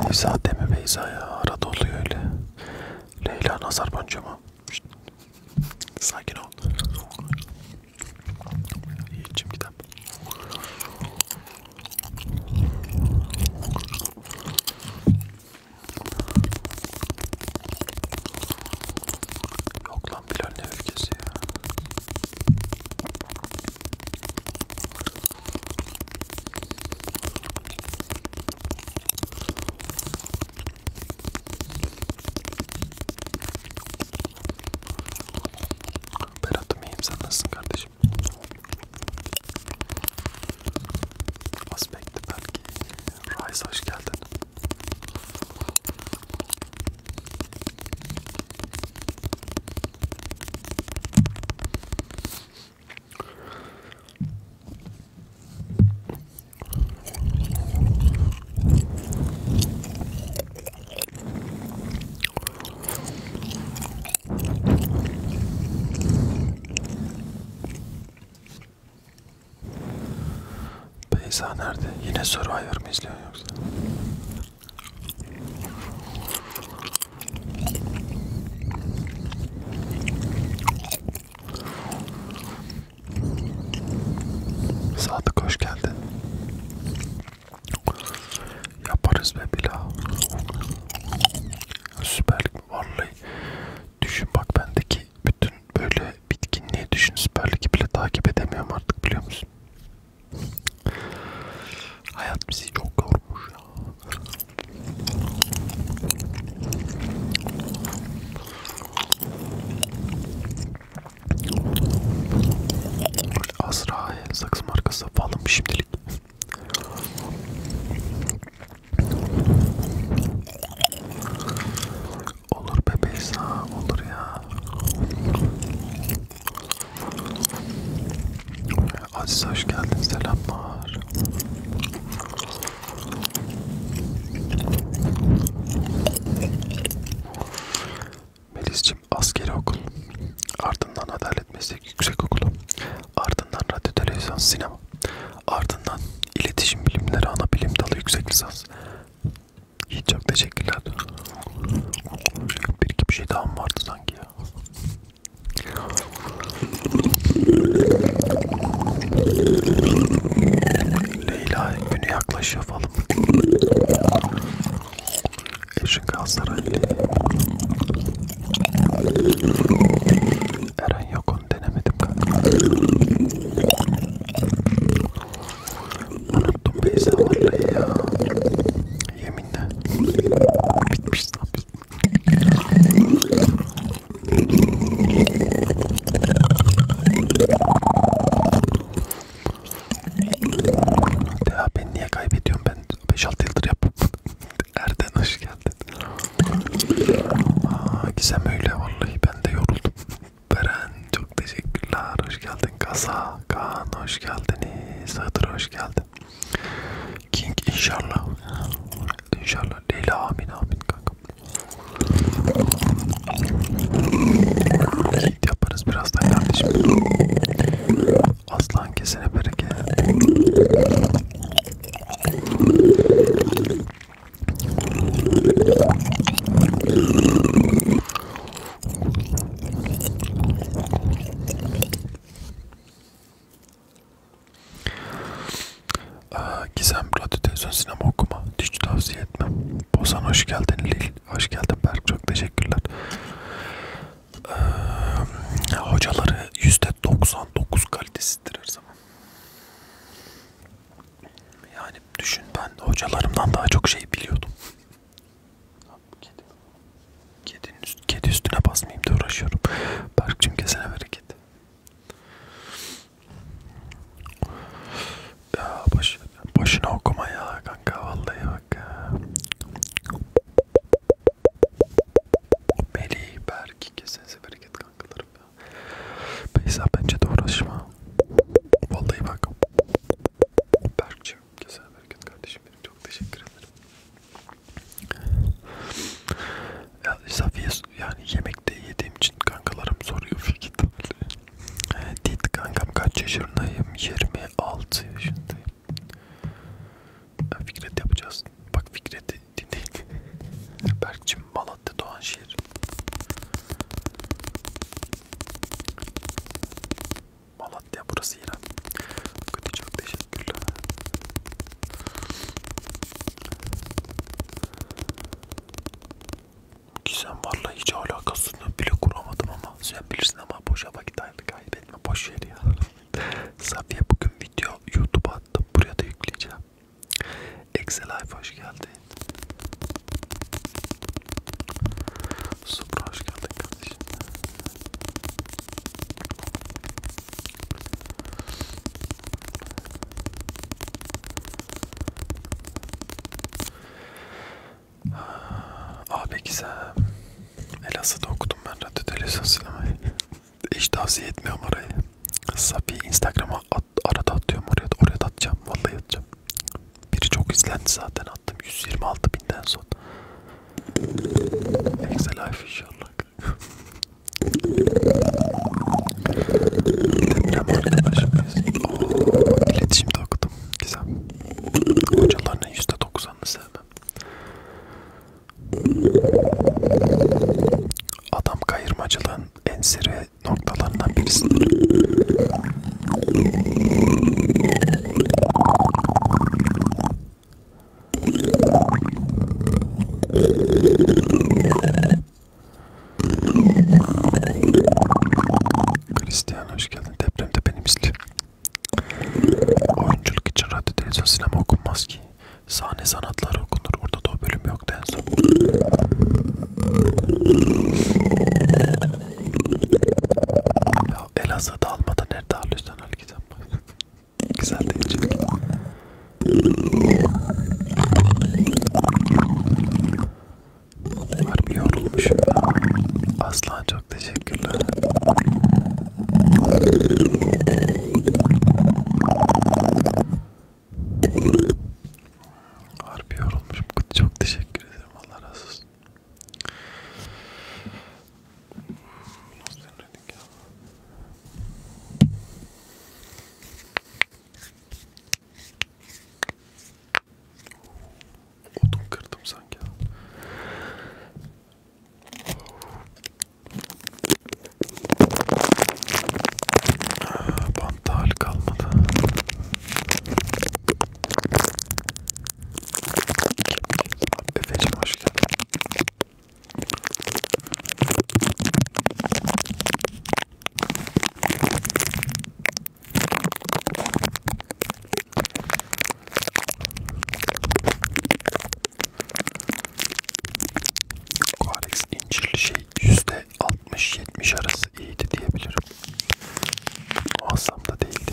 Beyza deme Beyza ya arada oluyor öyle. Leyla nazar boncuğu mu? Sakin ol. İçim gider. Yok lan Bilal ne ülkesi ya. Berat'ım iyiyim sen nasılsın kardeşim? Aspekti belki. Rise hoş geldin. Beyza nerede? Yine Survivor mı izliyor yoksa? Sadık hoş geldin. Yaparız be bila. Süperlik mi? Vallahi Düşün bak bendeki bütün böyle bitkinliği düşün Süper Lig'i bile takip edemiyorum artık biliyor musun? Hayat bizi çok yormuş ya. Azra'ya sakız markası falan şimdilik. Olur bebeği sağ olur ya. Aziz hoş geldin selamlar. Melis'cim askeri okul, ardından adalet meslek yüksek okulu, ardından radyo televizyon sinema, Ardından iletişim bilimleri ana bilim dalı yüksek lisans. İyi çok teşekkürler. Bir iki bir şey daha mı vardı sanki ya? Leyla günü yaklaşıyor falan. Eşin Galatasaray. Eren ben yok onu denemedim galiba. Unuttum Beyza vallahi ya. Yeminle. Bitmiş ne yapıyorsun? Deha ben niye kaybediyorum ben 5-6 yıldır yapıp Erden hoş geldin. Aa, gizem öyle vallahi ben de yoruldum. Beren çok teşekkürler. Hoş geldin Kasa. Kaan hoş geldiniz. Hıdır hoş geldin. King inşallah. İnşallah. Leyla amin amin kanka. Yaparız birazdan kardeşim. Aslan kesene bereket. Gizem radyo televizyon sinema okuma hiç tavsiye etmem. Bozan hoş geldin Lil. Hoş geldin Berk. Çok teşekkürler. Ee, hocaları %99 kalitesidir her zaman. Yani düşün ben hocalarımdan daha çok şey biliyordum. Kedi. Kedinin üst, kedi üstüne basmayayım da uğraşıyorum. Berk'cim kesene bereket. Ya boş, boşuna okuma ya kanka vallahi bak ya. Melih, Berk kesenize bereket kankalarım. Beyza bence de uğraşma. Vallahi bak. Berk'cim güzel bereket kardeşim benim çok teşekkür ederim. Ya Safiye yani yemekte yediğim için kankalarım soruyor fikir. Ee, Dit kankam kaç yaşındayım? 26 yaşındayım. Fikret yapacağız. Bak Fikret'i dinleyin. Berk'cim Malatya Doğan şeker. Malatya burası yine. Kötü çok teşekkürler. Ki sen varla hiç alakasını bile kuramadım ama sen bilirsin ama boşa vakit ayırdı kaybetme boş ver ya. Safiye bugün video YouTube'a attım buraya da yükleyeceğim. Exelife hoş geldin. Supra hoş geldin kardeşim. Abi ah, güzel. Elazığ'da okudum ben radyo televizyon sinemayı. Hiç tavsiye etmiyorum orayı. Sapi Instagram'a at, arada atıyorum oraya da, oraya da atacağım vallahi atacağım. Biri çok izlendi zaten attım 126 binden son. Excel life inşallah. Deprem arkadaşımız. Ooo oh, iletişimde okudum. Güzel. Hocalarının %90'ını sevmem. Adam kayırmacılığın ensiri noktalarından birisidir. Christian hoş geldin. Depremde benim misli. Oyunculuk için radyo, televizyon, sinema okunmaz ki. Sahne sanatları okunur. Orada da o bölümü yoktu en son. Ya Elazığ'da almadan nerede alıyorsan al gizem. Güzel değil çünkü. Harbi yorulmuşum ya. Aslan çok teşekkürler. Harbi yorulmuşum. Çok teşekkür ederim. Allah razı olsun. Nasıl denirdik ya? Odun kırdım sanki. Bantta hal kalmadı. Efeciğim hoş geldin. Koarex incirli şey yüzde 60-70 arası iyiydi diyebilirim. Muazzam da değildi.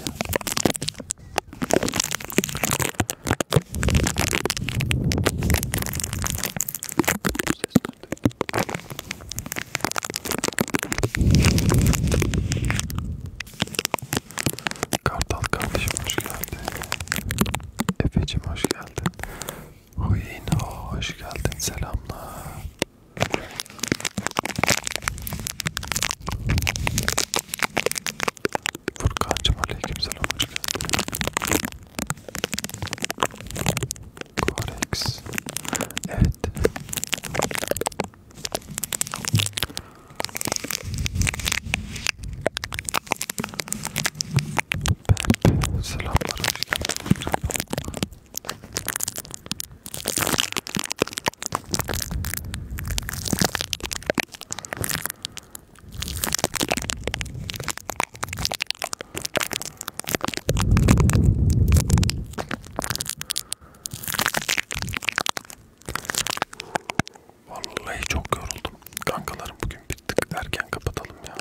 Kartal kardeşim hoş geldin. Efe'cim hoş geldin. Huyino hoş geldin selamlar. Furkancım aleykümselam hoş geldin. Korex. Evet. Pepe selamlar hoş geldin. Vallahi çok yoruldum. Kankalarım bugün bir tık erken kapatalım ya.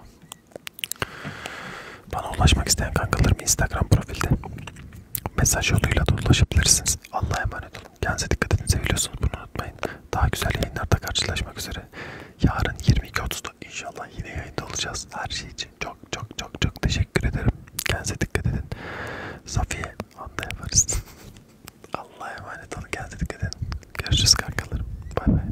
Bana ulaşmak isteyen kankalarım Instagram profilde mesaj yoluyla da ulaşabilirsiniz. Allah'a emanet olun. Kendinize dikkat edin. Seviyorsunuz bunu unutmayın. Daha güzel yayınlarda karşılaşmak üzere. Yarın 22.30'da inşallah yine yayında olacağız. Her şey için çok çok çok çok teşekkür ederim. Kendinize dikkat edin. Safiye anda yaparız. Allah'a emanet olun. Kendinize dikkat edin. Görüşürüz kankalarım. Bay bay.